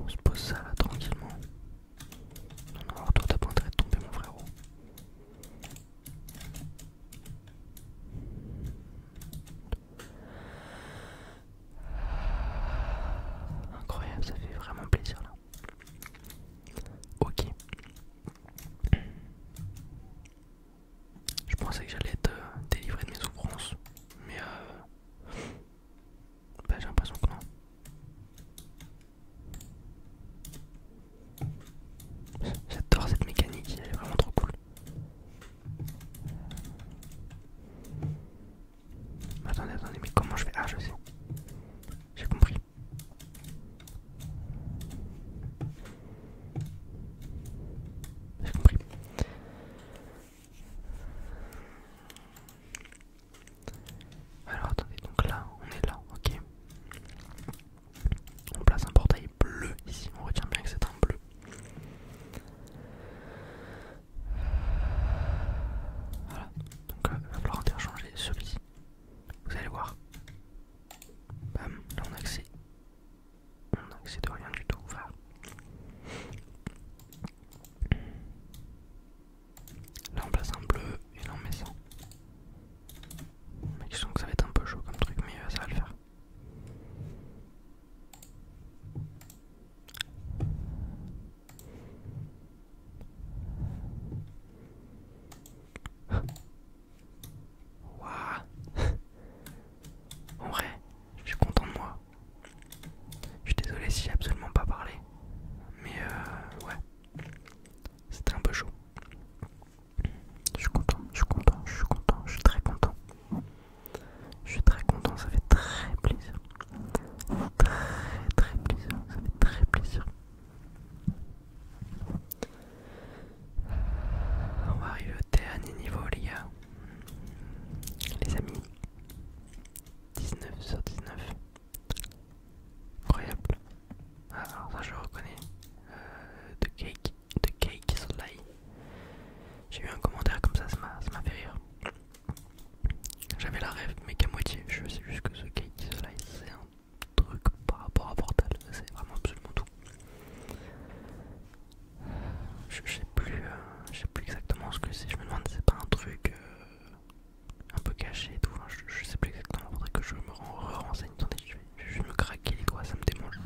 On se pose ça là tranquillement. Non, non, toi, à de tomber, mon frérot. Incroyable, ça fait vraiment plaisir là. Ok. Je pensais que j'allais te euh, délivrer de mes souffrances, mais euh, bah, j'ai l'impression que non. J'adore cette mécanique, elle est vraiment trop cool. Attendez, attendez, mais comment je fais Ah, je sais. J'ai compris. J'ai compris. Alors attendez, donc là, on est là, ok. On place un portail bleu ici, on retient bien que c'est un bleu. Voilà, donc il euh, va falloir interchanger celui-ci. Vous allez voir. Bam, là on accède. On accède rien du tout. Là on place un bleu et là on met ça. je sens que ça va être un peu chaud comme truc, mais euh, ça va le faire. Ouais, En vrai, je suis content de moi. Je suis désolé si j'ai absolument pas parlé. Mais euh, ouais, c'était un peu chaud. Je suis content, je suis content, je suis content, je suis très content. Je suis très content, ça fait très plaisir. Très très plaisir, ça fait très plaisir. On va arriver au dernier niveau les gars. Les amis. 19 sur 19. Incroyable. Ah, alors ça je reconnais. Euh, de cake. The Cake is a J'ai eu un commentaire comme ça, ça m'a fait rire. J'avais la rêve, mais qu'à moitié. Je sais juste que ce Cake is c'est un truc par rapport à Portal. C'est vraiment absolument tout. Je, sais plus, euh, je sais plus exactement ce que c'est. Je me demande si c'est pas un truc euh, un peu caché tout. je, sais plus exactement. Faudrait que je me renseigne. Attendez, je vais, je me craquer les doigts, ça me démange.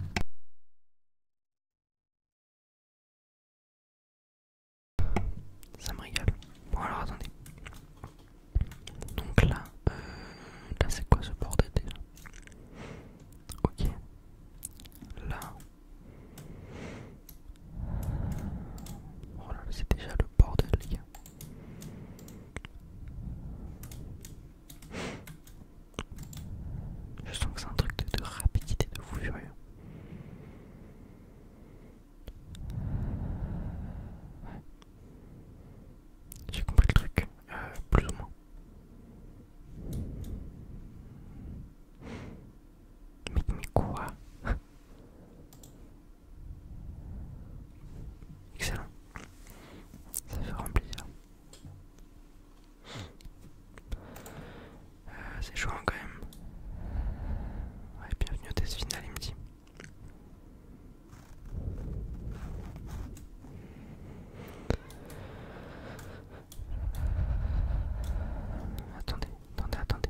Ça me rigole Bon alors attendez. Donc là, euh, là c'est quoi ce bordel déjà Ok. Là. Oh là là, c'est déjà le bordel les gars. Je sens que c'est un truc de, rapidité de fou furieux. Ouais. J'ai compris le truc, euh, plus ou moins. Mais, mais quoi Excellent. Ça fait remplir plaisir. Euh, c'est chaud hein, quand même. Ouais, bienvenue au test final, il me dit. Attendez, attendez, attendez.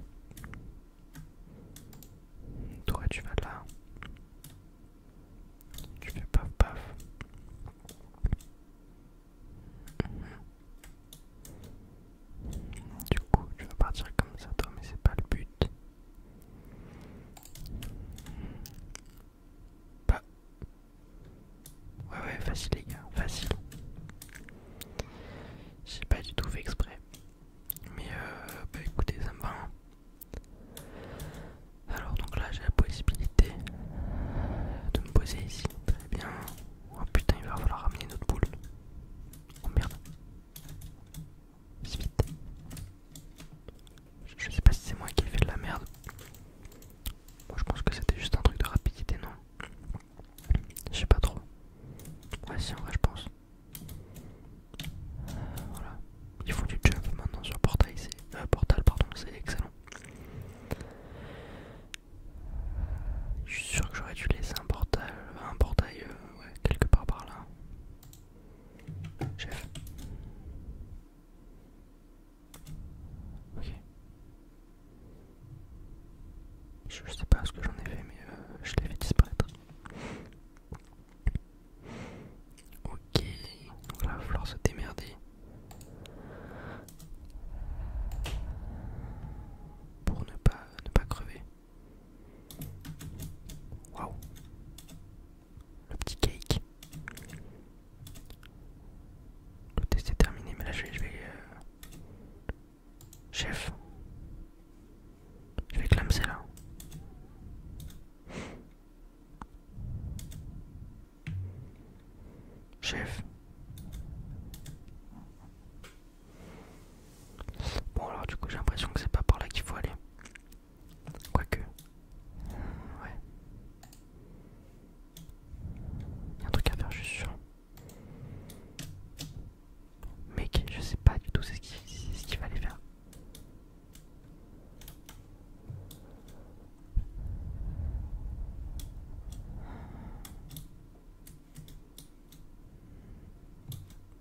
Toi, tu vas là. Tu fais paf paf. Du coup, tu vas partir comme ça, toi, mais c'est pas le but. Bah. Ouais, ouais, facile, les gars, facile. J'ai pas du tout fait exprès. Mais euh, bah écoutez, ça me va. Hein. Alors donc là j'ai la possibilité de me poser ici. Très bien. Oh putain il va falloir ramener notre boule. Oh merde. vite. Je sais pas si c'est moi qui ai fait de la merde. Moi je pense que c'était juste un truc de rapidité, non Je sais pas trop. Ouais si en vrai je pense. voilà. Ils font du jump maintenant sur portail, c'est. Euh, portal pardon, c'est excellent. Je suis sûr que j'aurais dû laisser un portail, un portail euh, quelque part par là. Ok. Je, sais pas ce que j'en ai fait, mais euh, je l'ai fait disparaître il va falloir se démerder pour ne pas ne pas crever. Waouh Le petit cake. Le test est terminé, mais là je vais. Euh, chef. Je vais clamser là. Chef. Bon alors du coup j'ai l'impression que c'est pas par là qu'il faut aller. Quoique. Ouais. Il y a un truc à faire, je suis Mec, je sais pas du tout c'est ce qu'il va aller faire.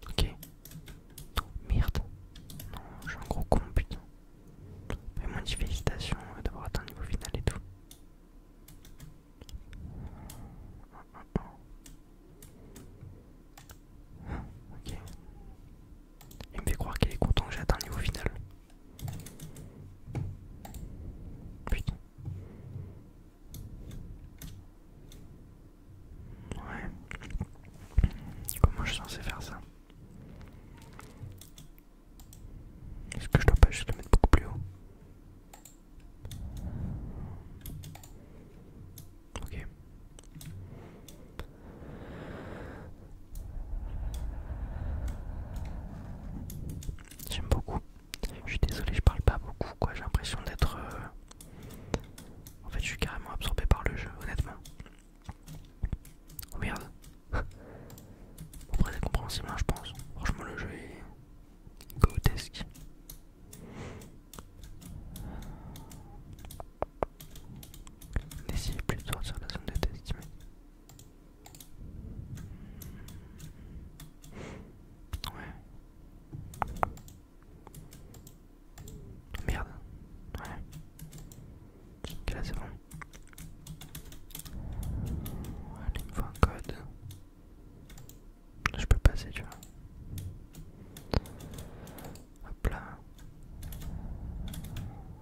Ok. Oh, merde. Non, j'ai un gros con, putain. Fais moi, dis félicitations euh, d'avoir atteint le niveau final et tout. ok. Il me fait croire qu'il est content que j'ai atteint le niveau final. Putain. Ouais. Comment je suis censé faire ça Est-ce que je dois pas juste le mettre beaucoup plus haut Ok. J'aime beaucoup. Je suis désolé, je parle pas beaucoup, quoi. J'ai l'impression d'être. Euh, en fait, je suis carrément absorbé par le jeu, honnêtement. Oh merde. compréhensible, hein, je pense. Franchement, le jeu est. grotesque. N'essayez plus de sortir la zone de test, Ouais. Merde. Ouais. Ok là c'est bon. Allez, il me faut un code. Je peux passer, tu vois. Hop là.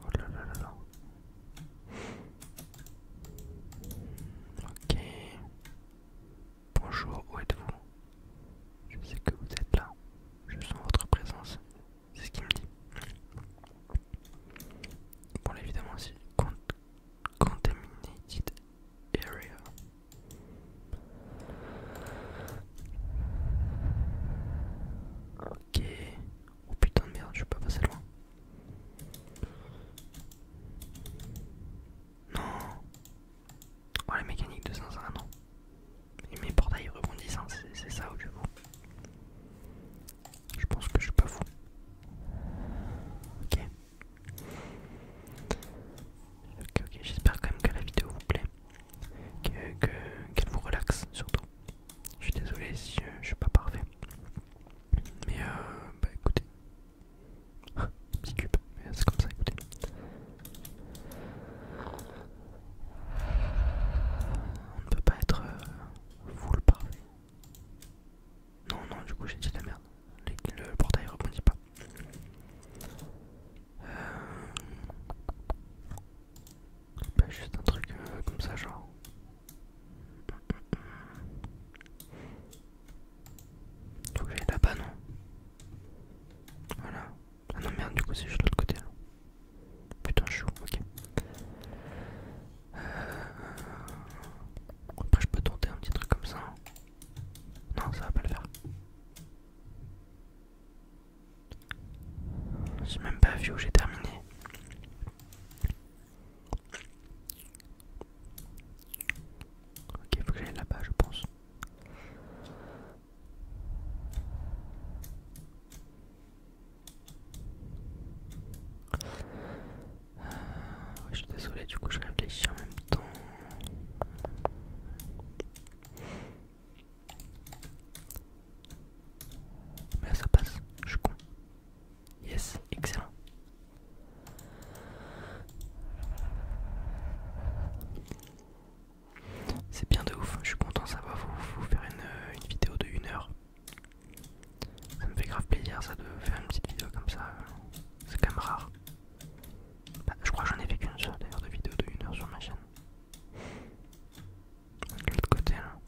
Oh là là là là. Ok. Bonjour, où êtes-vous Je sais que vous êtes là. Je sens votre présence. C'est ce qu'il me dit. Bon, là, évidemment, c'est Contaminated Area. Ok. Oh putain de merde, je peux pas passer loin. Non. Oh, mécanique mécanique de Zinzin, non. Et mes portails rebondissent, hein, c'est ça au je Je pense que je suis pas fou. Ok. Ok, ok, j'espère quand même que la vidéo vous plaît. Qu'elle que, vous relaxe surtout. Je suis désolé si je, suis pas parfait. Mais euh, bah écoutez. petit cube, c'est comme ça, écoutez. On ne peut pas être euh, full parfait. Non, non, du coup j'ai dit la merde. Le, portail rebondit pas. Euh, bah, juste un truc euh, comme ça, genre. Donc là-bas, non Voilà. Ah non, merde, du coup, c'est juste de l'autre côté. Putain, je Ok. Euh, après, je peux tenter un petit truc comme ça. Hein. Non, ça va pas le faire. J'ai même pas vu où j'ai terminé. Ok, faut que j'aille là-bas, je pense. Euh, je suis désolé, du coup, je réfléchis en même temps. Mais là, ça passe, je suis con. Yes, excellent. C'est bien de ouf, je suis content, de savoir vous, faire une, euh, vidéo de 1 heure. Ça me fait grave plaisir ça de faire une petite vidéo comme ça, euh, c'est quand même rare. Bah, je crois que j'en ai fait qu'une seule d'ailleurs de vidéo de 1 heure sur ma chaîne de l'autre côté là.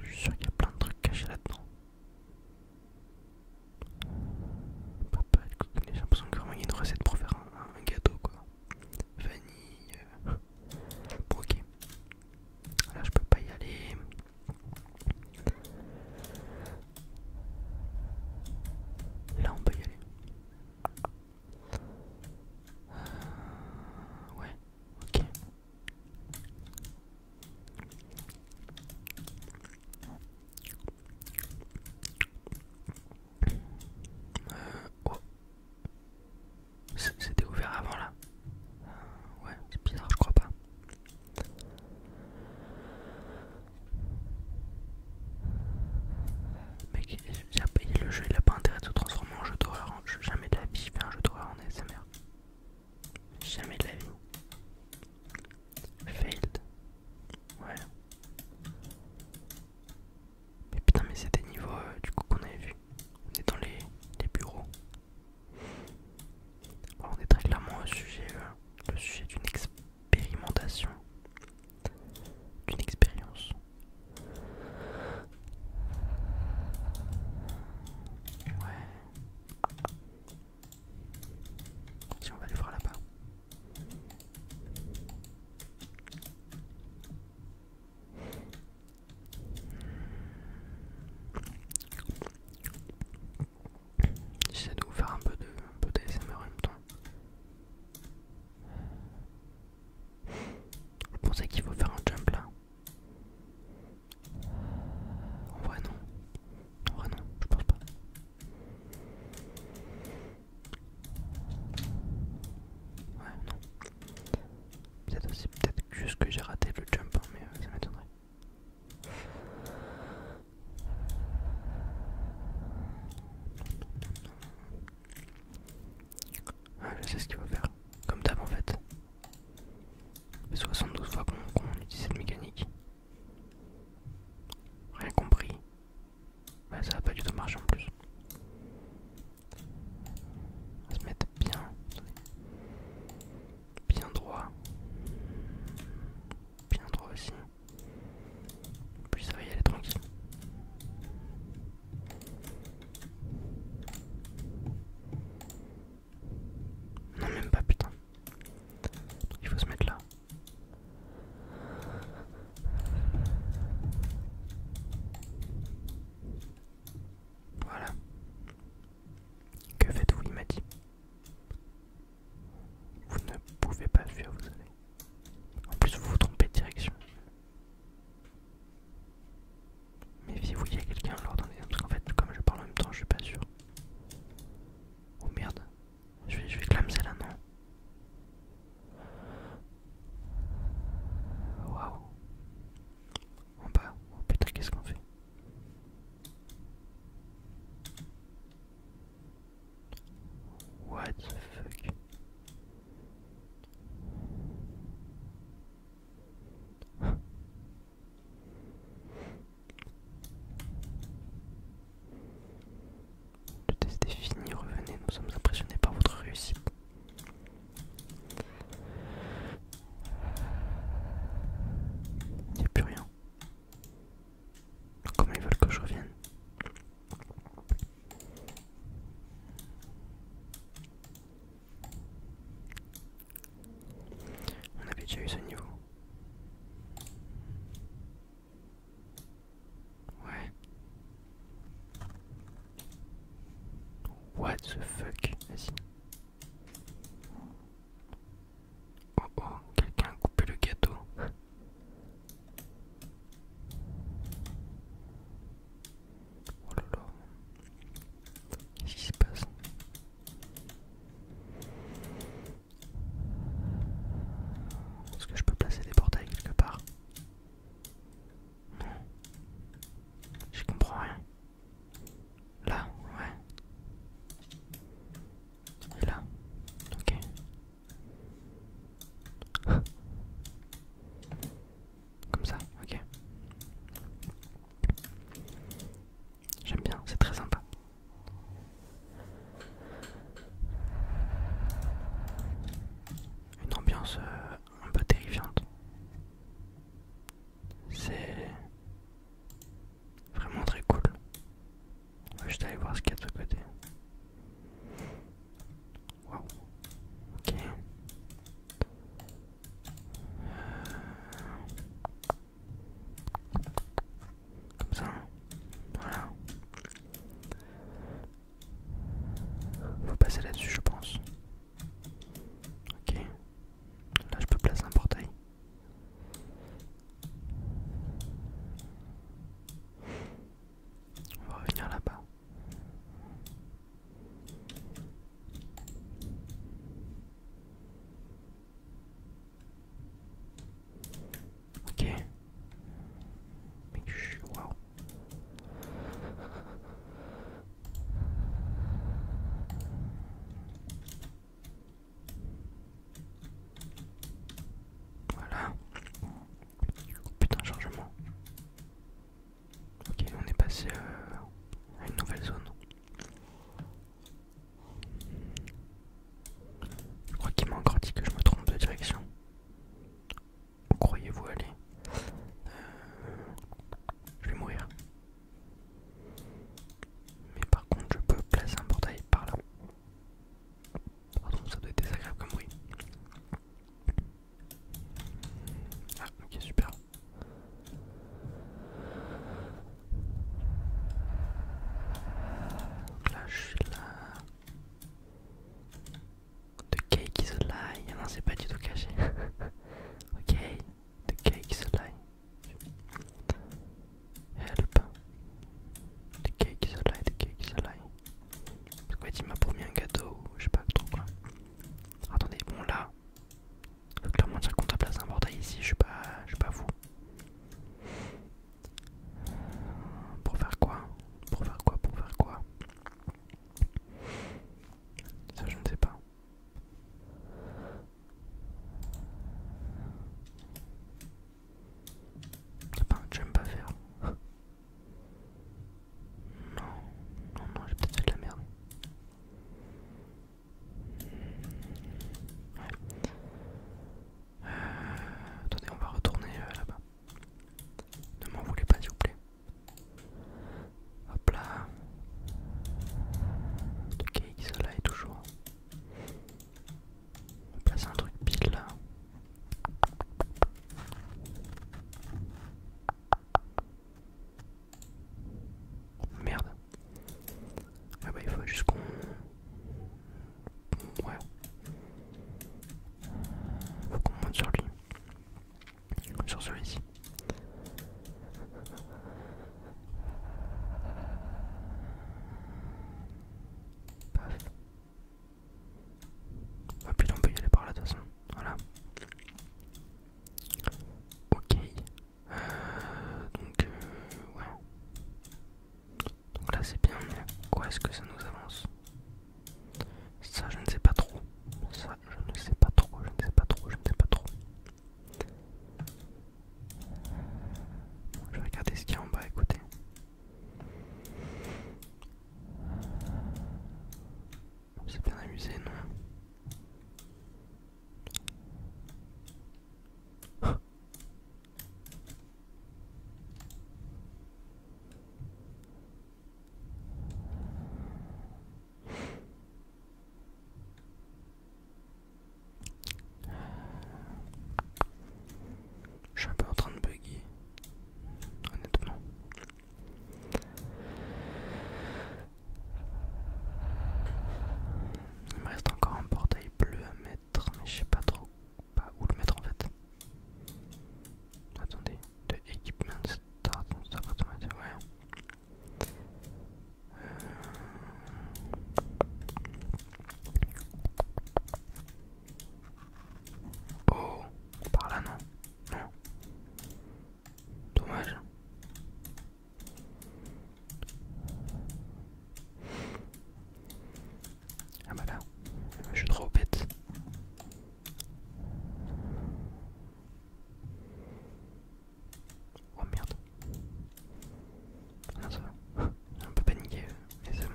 Je suis sûr qu'il y a plein de trucs cachés là-dedans. Papa, j'ai l'impression que vraiment il y a une recette pour faire un, gâteau quoi. Vanille. Euh, bon, ok. Là je peux pas y aller. Là on peut y aller. Euh, ouais, ok. Euh, oh. C'était ouvert avant là. Euh, ouais, c'est bizarre, je crois pas le jeu il a pas intérêt de se transformer en jeu d'horreur. Hein. Jamais de la vie je fais un jeu d'horreur en SMR Jamais de la vie. Failed. Ouais. Mais putain mais c'est des niveaux euh, du coup qu'on avait vu. On est dans les, bureaux. on est très clairement au sujet, euh, sujet d'une expérimentation. D'une expérience. Ouais. Si on va aller voir là-bas. J'essaie de vous faire un peu de, un peu d'ASMR en même temps. Je pensais qu'il faut faire un jump là En vrai non. En vrai non, je pense pas. Ouais, non. Peut-être peut-être juste que j'ai raté le jump, hein, mais euh, ça m'étonnerait. Ah, je sais ce qu'il va faire. Comme d'hab en fait. Ça 72 fois qu'on utilise cette mécanique. Rien compris. Bah ça va pas du tout marcher en plus. On va se mettre bien. Bien droit. Bien droit aussi. Puis ça va y aller tranquille. Non, même pas, putain. il faut se mettre là. Voilà. Que faites-vous, il m'a dit. Vous ne pouvez pas faire, vous allez. En plus, vous vous trompez de direction. Mais si vous y a quelqu'un à dans Parce qu'en fait, comme je parle en même temps, je suis pas sûr. Oh merde. Je vais, je vais clamser là, non Waouh. En bas. Oh putain, qu'est-ce qu'on fait What the fuck le test est fini, revenez, nous sommes impressionnés par votre réussite. Il n'y a plus rien. Comment ils veulent que je revienne on avait déjà eu ce niveau. Ouais. What the fuck Vas-y. Oh oh, quelqu'un a coupé le gâteau. Oh là là. Qu'est-ce qui se passe Est-ce que je peux placer des portails quelque part Je comprends rien. Là, ouais. Et là. Ok. Comme ça, ok. J'aime bien, c'est très sympa. Une ambiance euh, un peu terrifiante. C'est vraiment très cool. On va juste aller voir ce qu'il y a de côté. Wow. Ok. Comme ça. Voilà. Faut passer là-dessus, je pense. Ok. Là, je peux placer un portail. On va revenir là-bas. Ok. Mais je wow. Voilà. Putain, chargement. Ok, on est passé euh, à une nouvelle zone. Je crois qu'il m'a encore dit que je me trompe de direction. Où croyez-vous aller euh, Je vais mourir. Mais par contre, je peux placer un portail par là. contre ça doit être désagréable comme bruit. Ah, ok, super. Donc là, je suis là. The cake is a lie. Non, c'est pas du tout caché. ok, the cake is a Help. The cake is a the cake is a lie. tu m'as m'a promis un gâteau je sais pas trop quoi. Attendez, bon là, je clairement dire qu'on t'a place un bordel ici, je suis pas, je suis pas fou. Pour faire quoi Pour faire quoi Pour faire quoi Ça je ne sais pas. J'aime pas faire. Non, non, non, j'ai peut-être fait de la merde. Euh, attendez, on va retourner euh, là-bas. Ne m'en voulez pas, s'il vous plaît. Hop là. Ok, là est toujours. On va placer un truc pile là. Oh, merde. Ah bah il faut juste qu'on... Ouais. Faut qu'on monte sur lui. Sur celui-ci. Paf. Ah putain on peut aller par là de toute façon. Voilà. Ok. Euh, donc, euh, ouais. Donc là, c'est bien, mais quoi est-ce que ça nous avance Ça, je ne sais pas trop. Ça, je ne sais pas trop, je ne sais pas trop, je ne sais pas trop. Je vais regarder ce qu'il y a en bas, écoutez. C'est bien amusé, non Je suis un peu en train de bugger, honnêtement. Il me reste encore un portail bleu à mettre, mais je sais pas trop où le mettre en fait. Attendez, de Equipment start, ça va hein. euh. Oh, par là non, non. Dommage. Ah bah là, je suis trop bête. Oh merde. Ah, ça J'ai un peu paniqué, mais euh, c'est bon.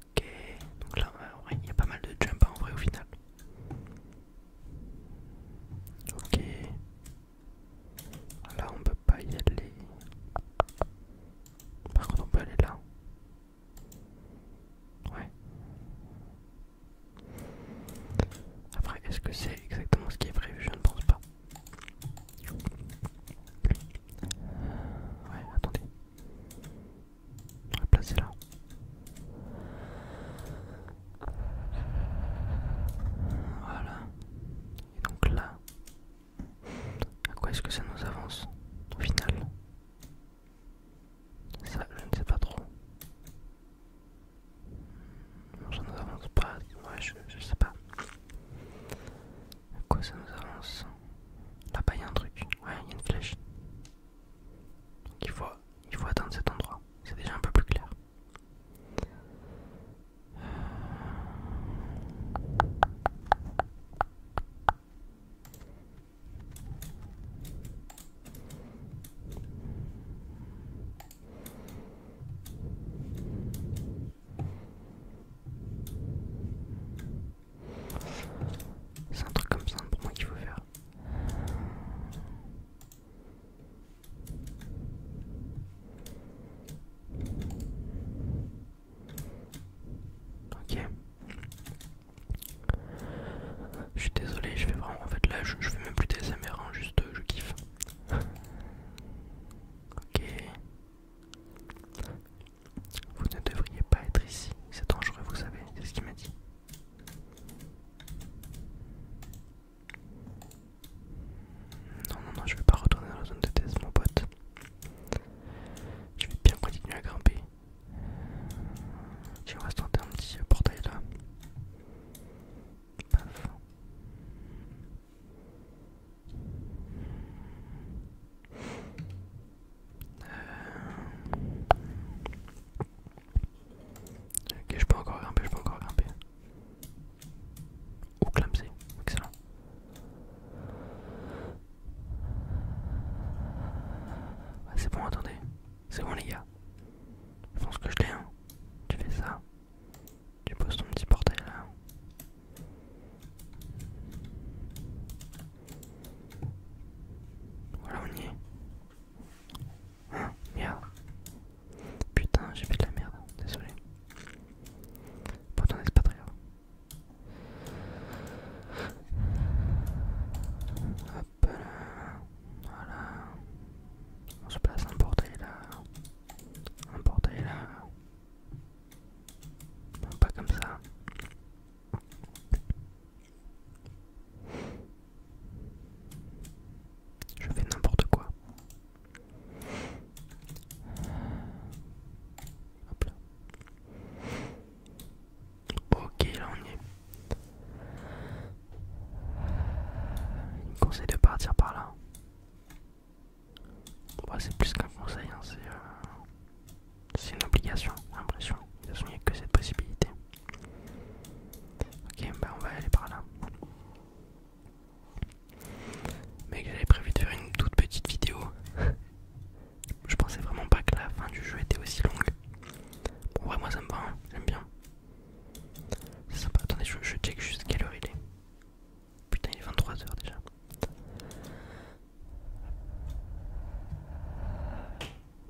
Ok, donc là, euh, il y a pas mal de jump hein, en vrai au final. Ok. Là, on peut pas y aller. Par contre, on peut aller là. Ouais. Après, est-ce que c'est exactement ce qui est prévu Je ne pense pas. Ouais, attendez. On va placer là. Voilà. Et donc là, à quoi est-ce que ça nous avance au final Ça, je ne sais pas trop. ça nous avance pas. Ouais, je, ne sais pas. À quoi ça nous avance Là-bas, il y a un truc. Ouais, il y a une flèche. il faut, il faut atteindre cet endroit. C'est déjà un peu plus clair. C'est un truc comme ça pour moi qu'il faut faire. Ok. Je suis désolé, je vais vraiment. En fait, là, je, vais même plus des MR, hein, juste euh, je kiffe. Ok. Vous ne devriez pas être ici, c'est dangereux, vous savez, c'est ce qu'il m'a dit. Non, non, non, je vais pas retourner dans la zone de test, mon pote. Je vais bien continuer à grimper. Tiens, on rester un petit portail là. Paf. Euh, ok, je peux encore grimper, je peux encore grimper. Ou clamser, excellent. C'est bon, attendez. C'est bon, les gars. Je pense que je l'ai. Hein. Tu fais ça. Tu poses ton petit portail là. Voilà, on y est. Hein, merde. Putain, j'ai fait de la merde, désolé. Pourtant, c'est pas Hop là, voilà. On se place un portail là, un portail là. Pas comme ça. Je fais n'importe quoi. Hop là. Ok, là on y est. Il me conseille de partir par là. c'est plus qu'un conseil, hein, c'est... Euh, c'est une obligation, j'ai l'impression. De toute façon, il n'y a que cette possibilité. Ok, bah on va aller par là. Mec, j'avais prévu de faire une toute petite vidéo. Je pensais vraiment pas que la fin du jeu était aussi longue. Bon, ouais, moi ça me va, hein. j'aime bien. C'est sympa. Attendez, je, je check juste quelle heure il est. Putain, il est 23h déjà.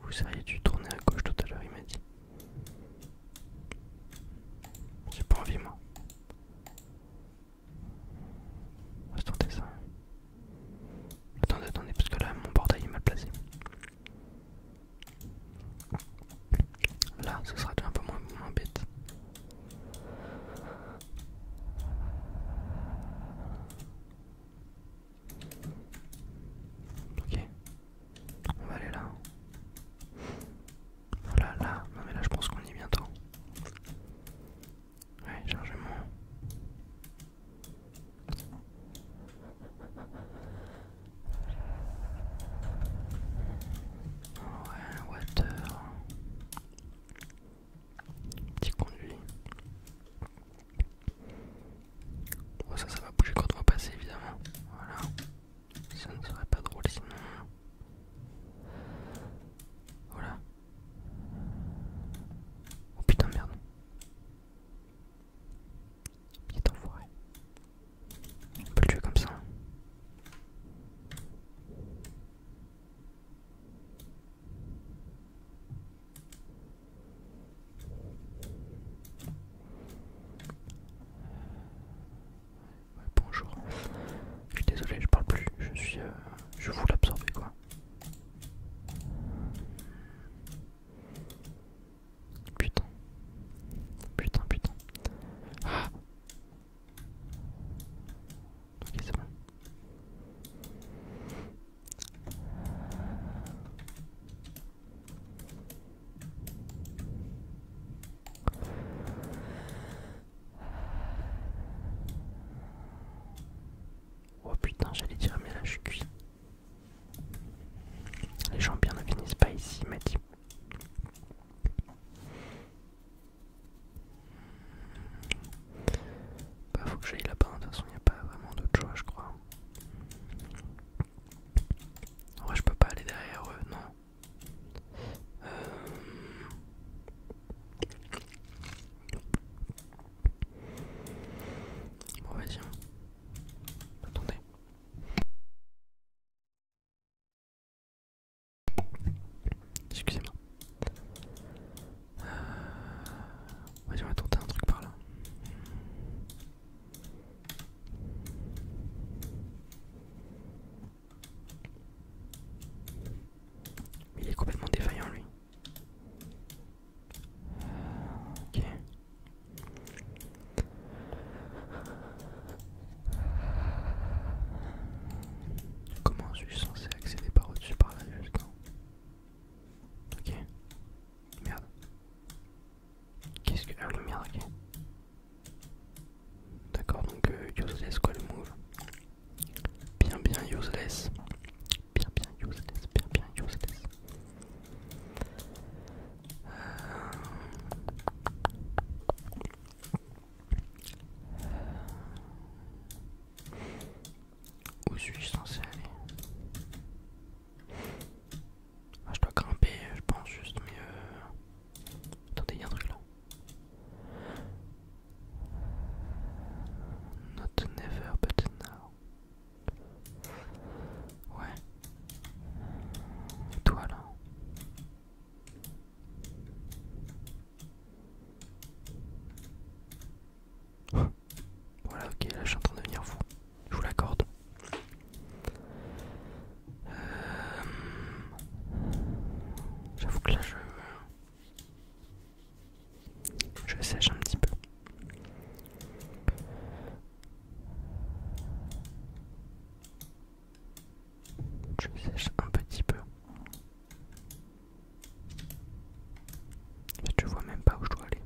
Vous auriez dû tourner à gauche tout à l'heure, il m'a dit. J'ai pas envie, moi. On va se tenter ça. Attendez, attendez, parce que là, mon portail est mal placé. Là, ce sera un peu moins, moins bête. Ok. On va aller là. Voilà, là. Non mais là je pense qu'on y est bientôt. Ouais, chargement. Ouais, water. Petit conduit ça, ça va bouger quand on va passer, évidemment. Voilà. Ça ne serait pas drôle sinon. Voilà. Oh putain, merde. Il est enfoiré. On peut le tuer comme ça. Hein bonjour. Je suis désolé, je parle plus. Je suis, euh, je vous l'absorber quoi. Putain, putain, putain. Ah ok c'est bon. Oh putain, j'allais dire, mais là je suis cuit. Les gens bien ne finissent pas ici, m'a il bah, faut que j'aille là-bas, de toute façon, il n'y a pas vraiment d'autre choix, je crois. Ouais je peux pas aller derrière eux, non. Euh. Bon, vas-y. Hein. Attendez. Excusez-moi. Vas-y on va tenter un truc par là. Il est complètement défaillant lui. Ok. Comment je suis censé accéder par au-dessus par là justement Ok. Merde. Qu'est-ce que. Ah merde, ok. D'accord, donc euh, useless quoi move. Bien, bien useless. Bien, bien useless. Bien, bien useless. Euh. Où suis-je censé aller ah, Je dois grimper, je pense juste, mieux. Attendez, il y a un truc là. Not never, but now. Ouais. toi là Voilà, ok, là je suis en train de venir fou. Je vous l'accorde. Euh, j'avoue que là je... Je sèche un petit peu. Je sèche un petit peu. Mais bah, tu vois même pas où je dois aller.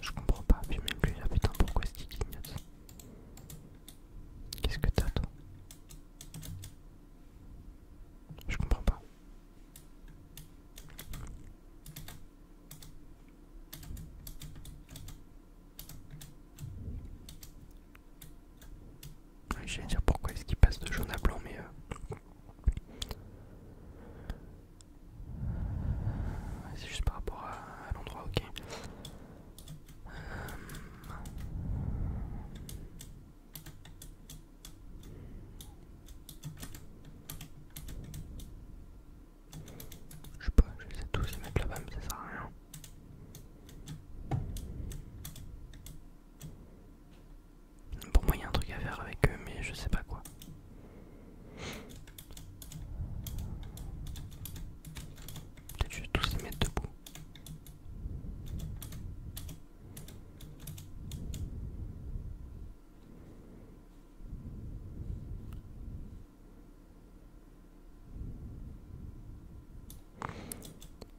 Je comprends pas, puis même plus, Ah putain, pourquoi est-ce qu'il clignote Qu'est-ce que t'as, toi Je comprends pas viens de dire pourquoi est-ce qu'il passe de jaune à blanc, mais. Euh, c'est juste par rapport à, l'endroit, ok. Euh, je sais pas, je vais tous les mettre là-bas, mais ça sert à rien. Pour moi, il y a un truc à faire avec eux, mais je sais pas quoi. Peut-être vais tous les mettre debout.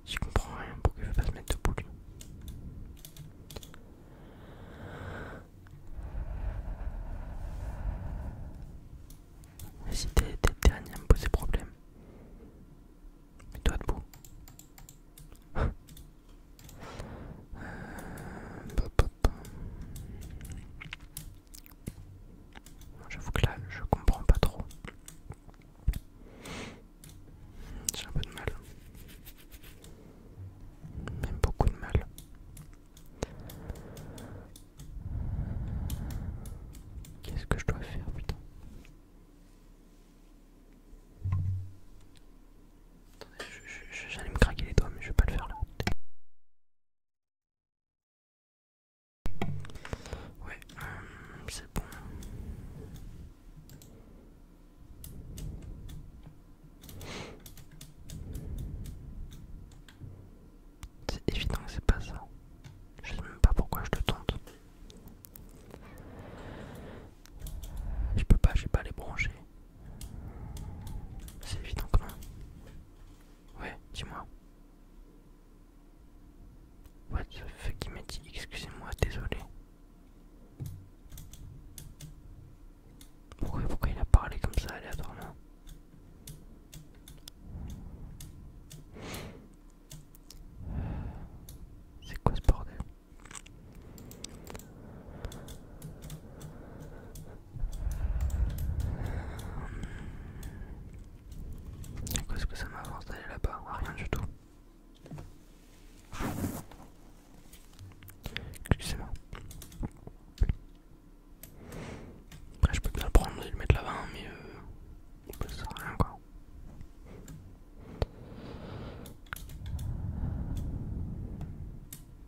Je comprends rien, pourquoi il veut pas se mettre debout lui Si t'es dernier à me poser problème, mets-toi debout. Euh, J'avoue que là, je comprends pas trop. J'ai un peu de mal. Même beaucoup de mal. Qu'est-ce que je dois faire, putain Attendez, j'allais me craquer les doigts, mais je vais pas le faire là. Ouais, euh, c'est bon. C'est évident que c'est pas ça. Je sais même pas pourquoi je te tente. Je peux pas, je vais pas les brancher. C'est évident quand même. Ouais, dis-moi. What the fuck, il m'a dit excusez-moi, désolé. Pourquoi, pourquoi il a parlé comme ça aléatoirement C'est quoi ce bordel Qu'est-ce que ça m'avance d'aller là-bas Rien du tout. Excusez-moi. Après, je peux bien le prendre et le mettre là-bas, hein, mais euh, ça sert à rien quoi.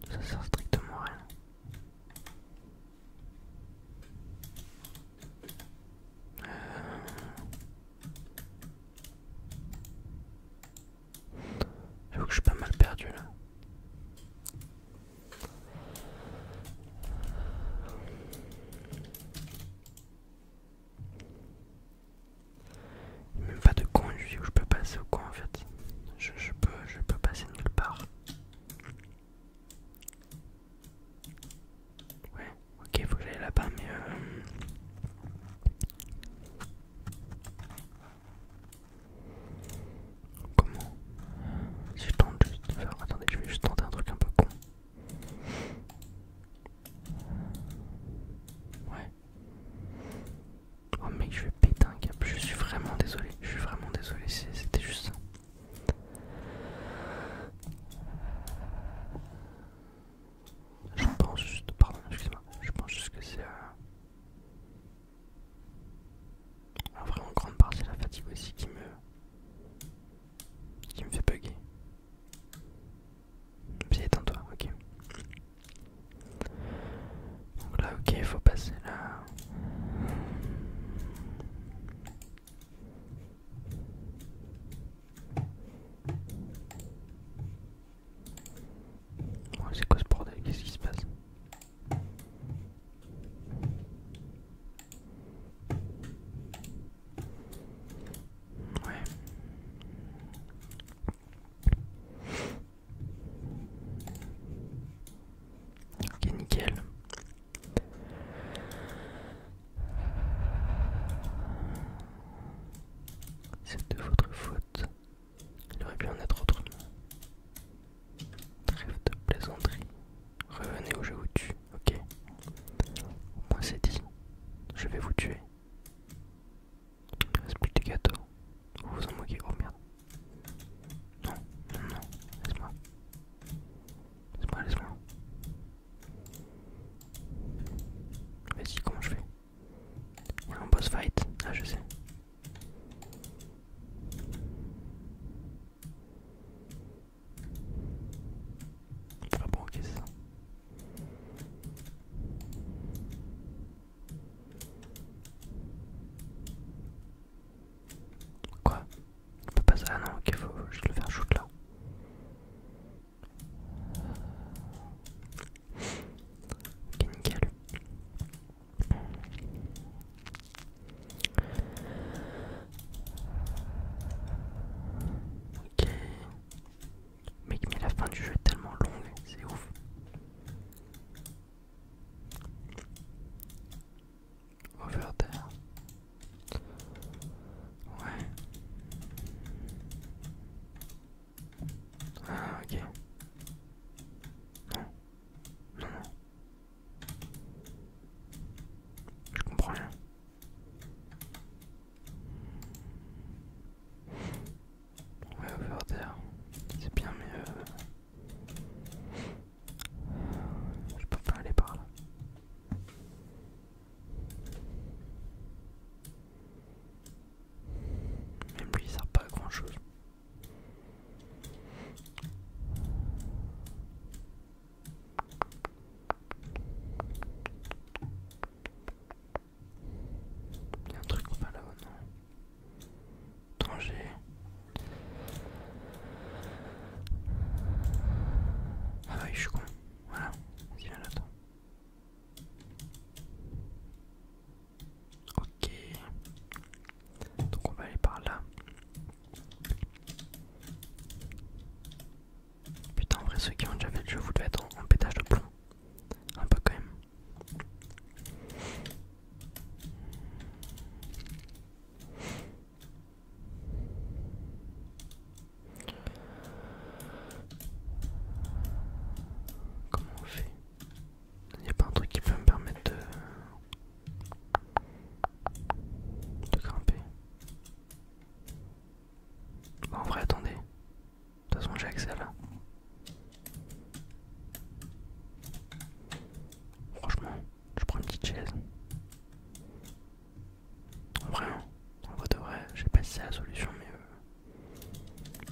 Ça sert strictement à rien que je suis pas mal perdu là. Même pas de coin, je où je peux passer au coin en fait. Je, peux, je peux passer nulle part. Ouais, ok, faut que j'aille là-bas, mais... Euh, comment Si je tente juste de faire... Attendez, je vais juste tenter un truc un peu con. Ouais. Oh mec, je vais péter un câble, je suis vraiment désolé, je suis vraiment désolé, c'était juste ça. Je pense juste, pardon, excuse-moi, je pense juste que c'est... Euh... En vrai, en grande partie, la fatigue aussi qui me... qui me fait bugger. Viens, éteins-toi, ok. Donc là, ok, il faut passer là. C'est quoi ce bordel Qu'est-ce qui se passe Ouais. Ok, nickel. C'est de votre faute. Il aurait pu en être autrement. Trêve de plaisanterie. Revenez où je vous tue, ok Au moins c'est dit. Je vais vous tuer. Il ne reste plus de gâteaux. Vous vous en moquez, oh merde. Non, non, non, laisse-moi. Laisse-moi, laisse-moi. Vas-y, comment je fais Il y boss fight, ah je sais. Ah bon, ça. Quoi On pas Ah non, ok, faut juste le faire shoot là. Ok, nickel. Ok. Mec, mais la fin du jeu est tellement longue, c'est ouf. Over there. Ouais. Ah, ok. Non. Non, Je comprends rien. Ouais, over there. C'est bien, mais euh, je peux pas aller par là. Même lui, il sert pas à grand chose. Il y a un truc en va là-haut, non danger Ah bah oui, je suis con. Voilà, Ok. Donc on va aller par là. Putain en vrai ceux qui ont déjà fait le jeu vous devez être en pétage de plomb. Un peu quand même. Comment on fait Il n'y a pas un truc qui peut me permettre de, de grimper. en vrai, attendez. De toute façon, j'ai accès là. Franchement, je prends une petite chaise. Vraiment, en vrai de vrai, pas si c'est la solution, mais il euh,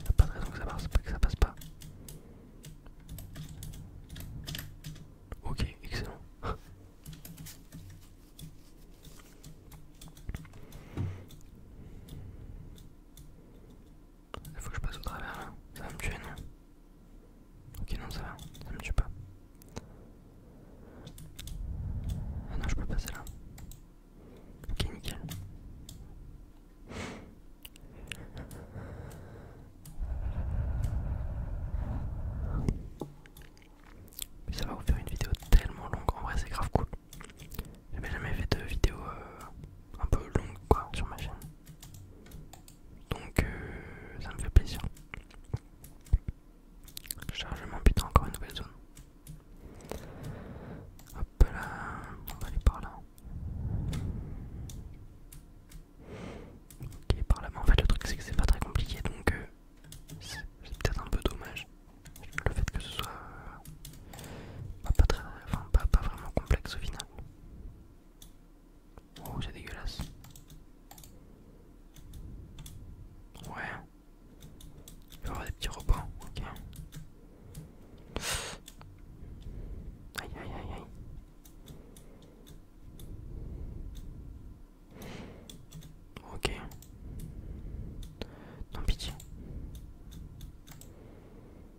n'y a pas de raison que ça passe, que ça passe pas. Ok, excellent. Il faut que je passe au travers là. Ça va me tuer, non Ok, non, ça va. Ça me tue pas. Ah non, je peux passer là. Ok, nickel. ça va vous faire une vidéo tellement longue. En vrai, c'est grave cool. J'ai jamais fait de vidéo euh, un peu longue quoi sur ma chaîne. Donc euh, ça me fait plaisir. Chargement putain encore une nouvelle zone. Hop là, on va aller par là. Ok par là, mais en fait le truc c'est que c'est pas très compliqué donc euh, c'est peut-être un peu dommage. Le fait que ce soit euh, pas vraiment complexe au final. Oh, c'est dégueulasse. Ouais. Il peut y avoir des petits repas, ok. Aïe aïe aïe aïe. Ok. Non, pis.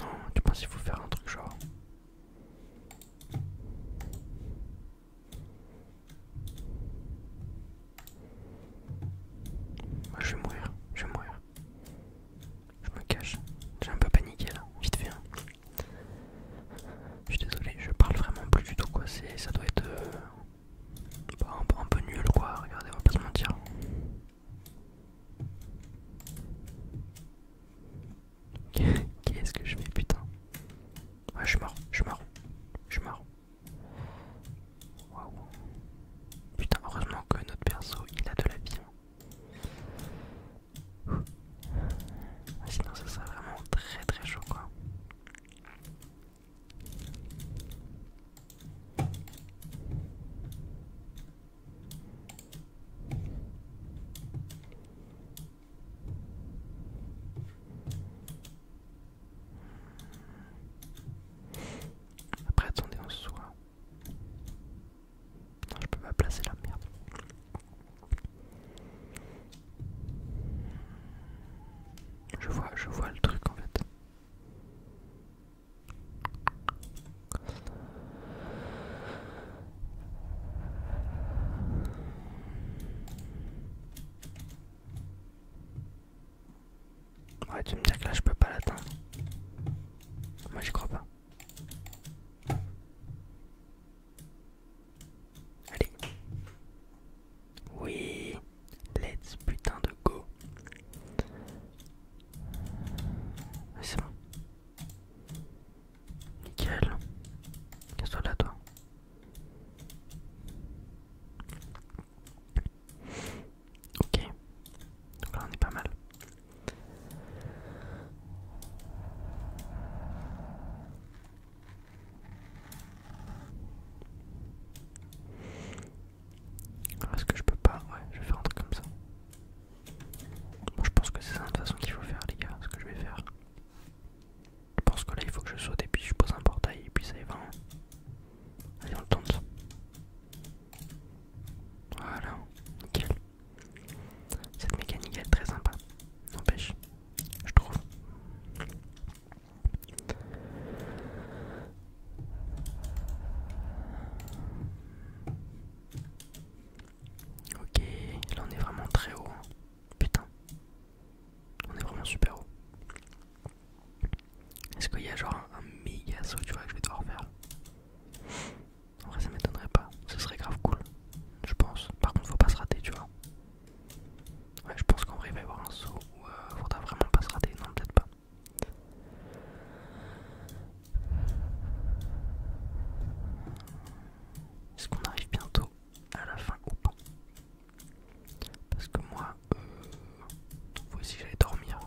Non, tu penses qu'il faut faire un truc genre. Moi je vais mourir, je vais mourir. Je me cache. J'ai un peu paniqué là, vite fait. Hein. Je suis désolé, je parle vraiment plus du tout quoi, ça doit être euh, bah, un, peu nul quoi, regardez, on va pas se mentir. Qu'est-ce que je fais putain Ouais je suis mort, je suis mort, je suis mort. Waouh. Putain heureusement que notre perso il a de la vie. Hein. Ah, sinon ça sera vraiment très très chaud quoi. Après attendez on se je peux me placer la merde. Je vois, je vois le truc en fait. Ouais, tu me dis que là je peux pas l'atteindre. Moi je crois pas. Allez. Oui. Let's putain de go. Ah, c'est bon. Nickel. Casse-toi là, toi. Ok. Donc là, on est pas mal. Ah, est-ce que je peux pas Ouais, je vais faire un truc comme ça. Bon, je pense que c'est ça de toute façon qu'il faut faire, les gars, ce que je vais faire. Je pense que là, il faut que je saute et puis je pose un portail et puis ça y va. Hein. Allez, on le tente. Voilà, nickel. Cette mécanique elle est très sympa, n'empêche je trouve. Ok, là on est vraiment très haut. Hein. Putain, on est vraiment super haut. Est-ce qu'il y a genre un, un tu vois, que je vais devoir faire En vrai, ça m'étonnerait pas. Ce serait grave cool, je pense. Par contre, faut pas se rater, tu vois. Ouais, je pense qu'en vrai, il va y avoir un saut où il euh, faudra vraiment pas se rater. Non, peut-être pas. Est-ce qu'on arrive bientôt à la fin ou pas Parce que moi, euh, faut aussi que dormir.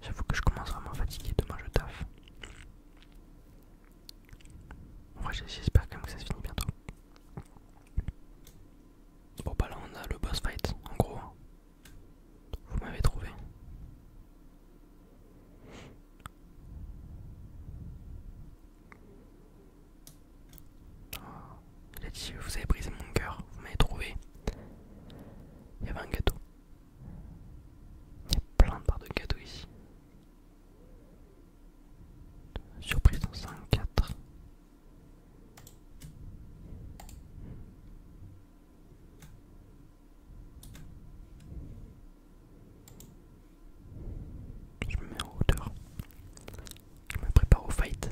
J'avoue que je commence vraiment à fatiguer. Demain, je taffe. Moi j'espère quand même que ça se finit bientôt. Bon, bah là, on a le boss fight, en gros. Vous m'avez trouvé. il a dit Vous avez brisé mon cœur, vous m'avez trouvé. Il y avait un gâteau. Il y a plein de parts de gâteau ici. Surprise en 5, 4. Je me mets en hauteur. Je me prépare au fight.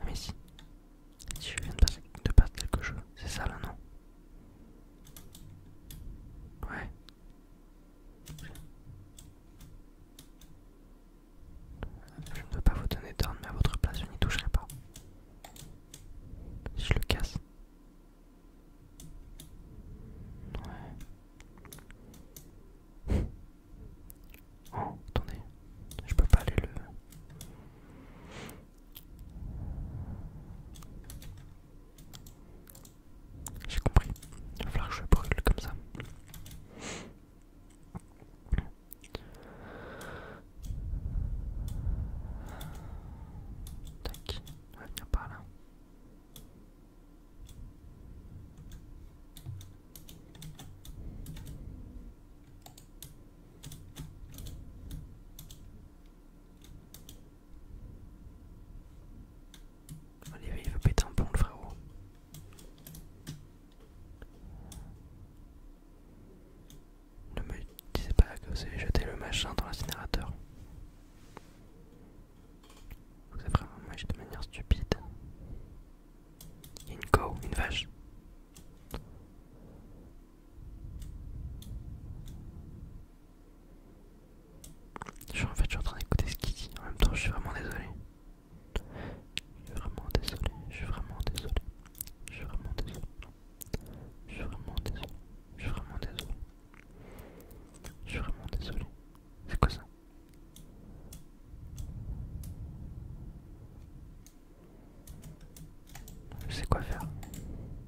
Ah, mais si, si je viens de passer, de passer quelque chose, c'est ça là non Ouais. Je ne veux pas vous donner d'ordre, mais à votre place, je n'y toucherai pas. Je le casse. Ouais. Oh, attendez. Je peux pas aller le... J'ai compris. Il va falloir que je brûle comme ça. Tac, on va venir par là. Allez, il veut péter un pont, le frérot. Ne me disais pas que vous avez jeté le machin dans l'incinérateur. Vous avez vraiment match de manière stupide. Il une une vache. Je, en fait, je suis en train d'écouter ce qu'il dit. En même temps, je suis vraiment désolé. Je suis vraiment désolé. Je suis vraiment désolé. Je suis vraiment désolé. Je suis vraiment désolé. Je suis vraiment désolé. Je suis vraiment désolé. C'est quoi ça Je sais quoi faire.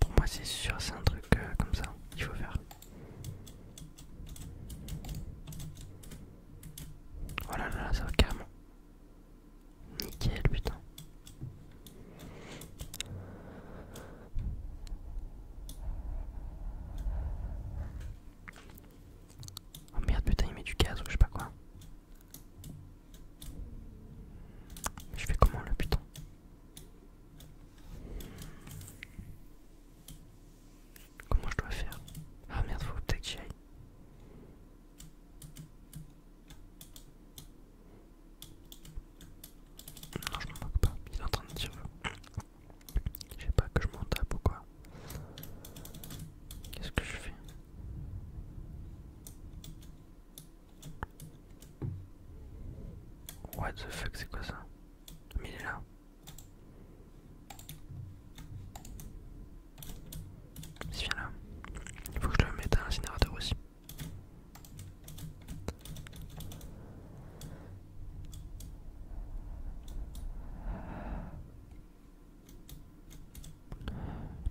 Pour moi c'est sûr, c'est un truc euh, comme ça, qu'il faut faire. Oh là là, ça va carrément. Nickel putain. Oh merde putain il met du gaz ou je sais pas quoi. Je fais comment le putain Comment je dois faire Ah merde, faut peut-être que j'y aille. Non, je m'en moque pas, il est en train de dire. Je sais pas que je m'en tape ou quoi. Qu'est-ce que je fais What the fuck, c'est quoi ça Mais il est là. Il vient là. Il faut que je le mette à l'incinérateur aussi.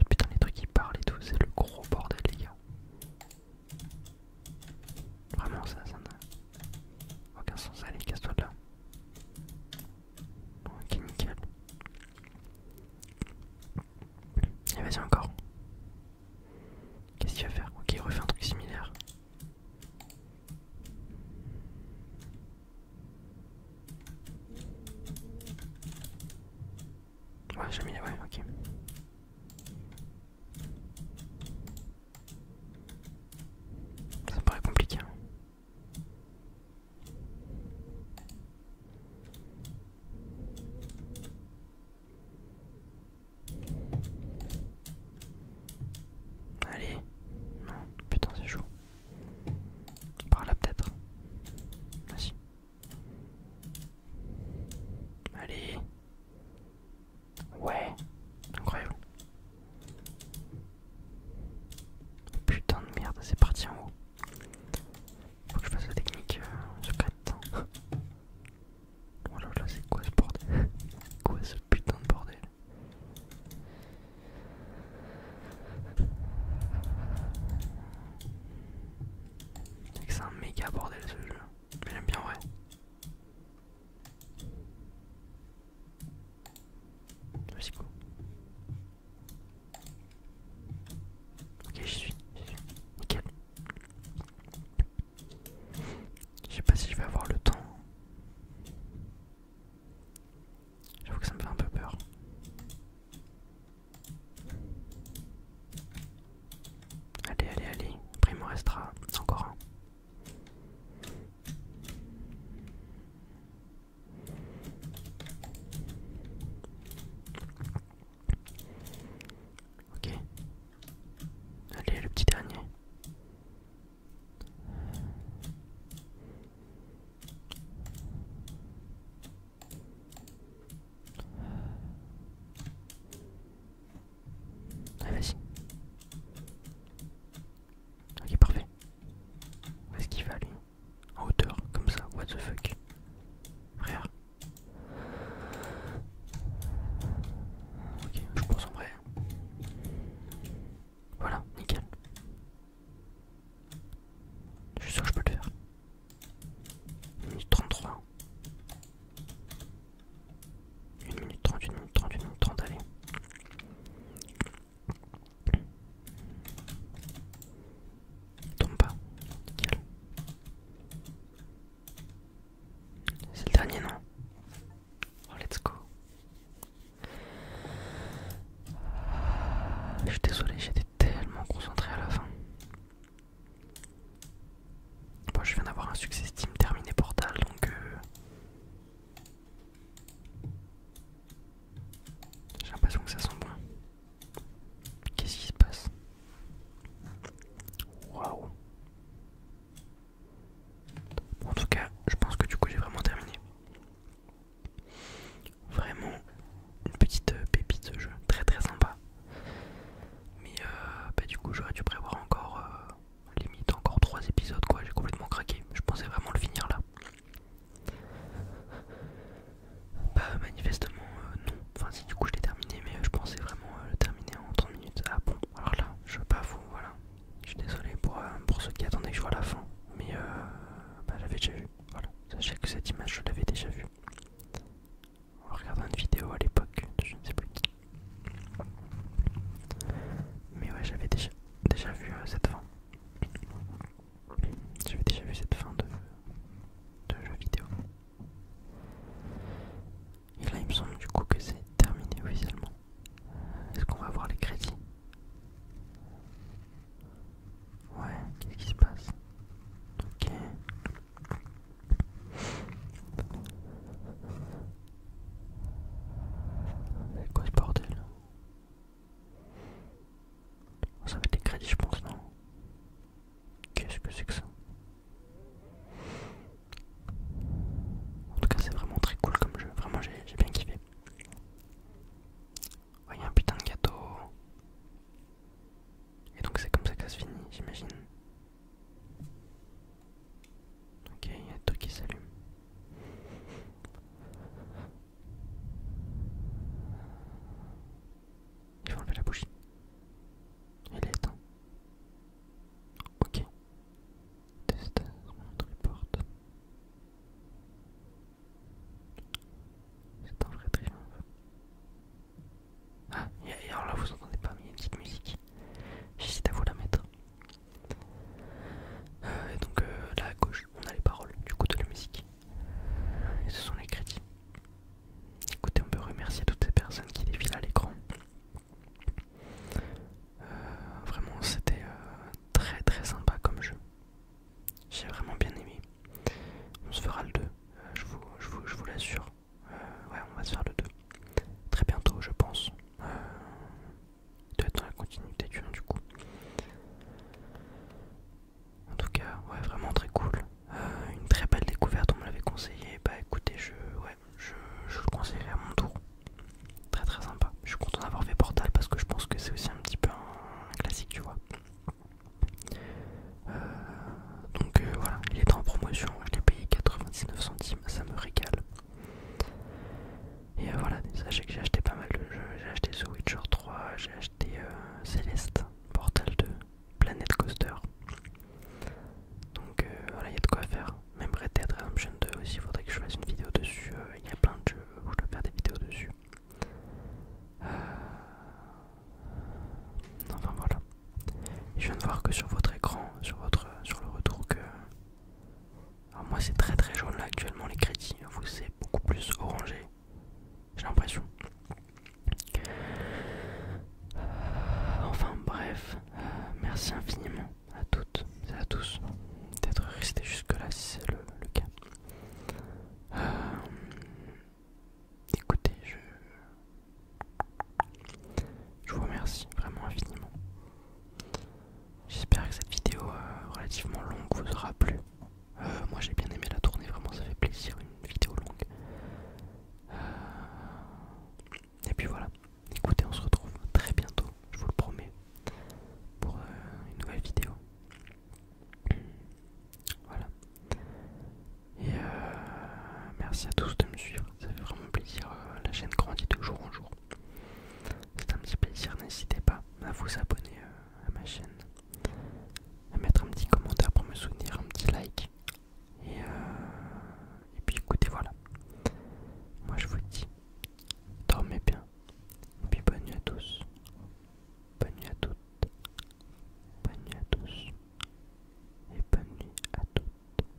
Putain les trucs qui parlent et tout, c'est le gros bordel les gars. Vraiment ça, ça n'a aucun sens. Allez, casse-toi de là. ok, nickel. Et eh, vas-y encore. Qu'est-ce qu'il va faire Ok, refait un truc similaire. Ouais, j'ai mis... Ouais, ok. Ça paraît compliqué. Hein. Allez, non, putain c'est chaud. Par là peut-être. vas Allez. Ouais, incroyable. Putain de merde, c'est parti en haut. Faut que je fasse la technique euh, secrète. Oh là là, c'est quoi ce bordel C'est Quoi ce putain de bordel C'est un méga bordel ce jeu. j'aime bien, ouais vas Ok suis, Nickel. Je sais pas si je vais avoir le temps. J'avoue que ça me fait un peu peur. Allez, allez, allez. Primo restera encore un. Ok. Allez, le petit dernier. Allez, vas-y. Ok, parfait. Où est-ce qu'il va, lui En hauteur, comme ça, what the fuck. Frère. Ok, je pense en vrai. Hein. Voilà, nickel. Je suis sûr que je peux le faire. Minute 33. 1 minute 30, 1 minute 30, 1 minute 30, allez. Tombe pas, nickel. C'est le dernier, non Oh, let's go. Je suis désolé, j'étais tellement concentré à la fin. Bon, je viens d'avoir un succès Steam terminé Portal, donc... Euh, j'ai l'impression que ça sent bon. Qu'est-ce qui se passe Waouh En tout cas, je pense que du coup j'ai vraiment terminé. Vraiment une petite euh, pépite ce jeu, très très sympa. Mais euh, bah, du coup j'aurais dû prévoir encore limite encore 3 épisodes quoi, j'ai complètement craqué, je pensais vraiment le finir là. Bah manifestement euh, non, enfin si du coup je l'ai terminé mais euh, je pensais vraiment euh, le terminer en 30 minutes. Ah bon, alors là, je veux pas vous, voilà. Je suis désolé pour, pour ceux qui attendaient que je vois la fin, mais euh, bah, j'avais déjà vu, voilà. Sachez que cette image je l'avais déjà vue. On regardant une vidéo à l'époque, je ne sais plus mais ouais, j'avais déjà, déjà vu euh, cette fin. J'avais déjà vu cette fin de, de jeu vidéo. Et là, il me semble du coup que c'est terminé officiellement. Est-ce qu'on va voir les crédits Ouais, qu'est-ce qui se passe Ok. C'est quoi bordel oh, Ça va être des crédits je pense non Qu'est-ce que c'est que ça En tout cas c'est vraiment très cool comme jeu, vraiment j'ai bien kiffé. Ouais, un putain de gâteau. Et donc c'est comme ça que ça se finit, j'imagine. Ok, il y a tout qui s'allume. Il faut enlever la bougie. Elle est éteinte. Ok. Test portes. C'est un vrai triomphe. Ah, et alors là vous entendez pas, mais il y a une petite musique j'hésite à vous la mettre. Euh, donc euh, là à gauche, on a les paroles du coup de la musique. Et ce sont les crédits. Écoutez, on peut remercier toutes ces personnes qui défilent à l'écran. Euh, vraiment, c'était très très sympa comme jeu. J'ai vraiment bien aimé. On se fera le 2, je vous l'assure. Euh, ouais, on va se faire le 2. Très bientôt, je pense. Euh, il doit être dans la continuité du 1, du coup. En tout cas, ouais, vraiment très cool. Euh, une très belle découverte, on me l'avait conseillé. Bah écoutez, je, ouais, je, le conseillerais à mon tour. Très très sympa. Je suis content d'avoir fait Portal parce que je pense que c'est aussi un petit peu un, classique, tu vois. donc voilà, il est en promotion, je l'ai payé 99 centimes, ça me régale. Et euh, voilà, sachez que j'ai acheté pas mal de jeux. J'ai acheté The Witcher 3, j'ai acheté euh, Celeste, Portal 2, Planet Coaster. Donc euh, voilà, il y a de quoi faire. Même Red Redemption 2 aussi, il faudrait que je fasse une vidéo dessus. Il y a plein de jeux où je dois faire des vidéos dessus. Enfin voilà. Je viens de voir que sur votre écran, sur, votre, sur le retour que... Alors moi c'est très très jaune là actuellement les crédits, hein, vous c'est beaucoup plus orangé, j'ai l'impression. Euh, enfin bref, euh, merci infiniment à toutes et à tous d'être restés jusque là si c'est le, cas. Euh, écoutez, je, je vous remercie vraiment infiniment. J'espère que cette vidéo euh, relativement longue vous aura plu. Euh, moi j'ai bien aimé la tournée, vraiment ça fait plaisir une vidéo longue. Euh, et puis voilà, écoutez, on se retrouve très bientôt, je vous le promets, pour une nouvelle vidéo. Voilà. Et merci à tous de me suivre ça fait vraiment plaisir, euh, la chaîne grandit de jour en jour. C'est un petit plaisir, n'hésitez pas à vous abonner euh, à ma chaîne, à mettre un petit commentaire pour me soutenir, un petit like. Et, euh, puis écoutez, voilà. Moi je vous dis, dormez bien. Et puis bonne nuit à tous. Bonne nuit à toutes. Bonne nuit à tous. Et bonne nuit à toutes.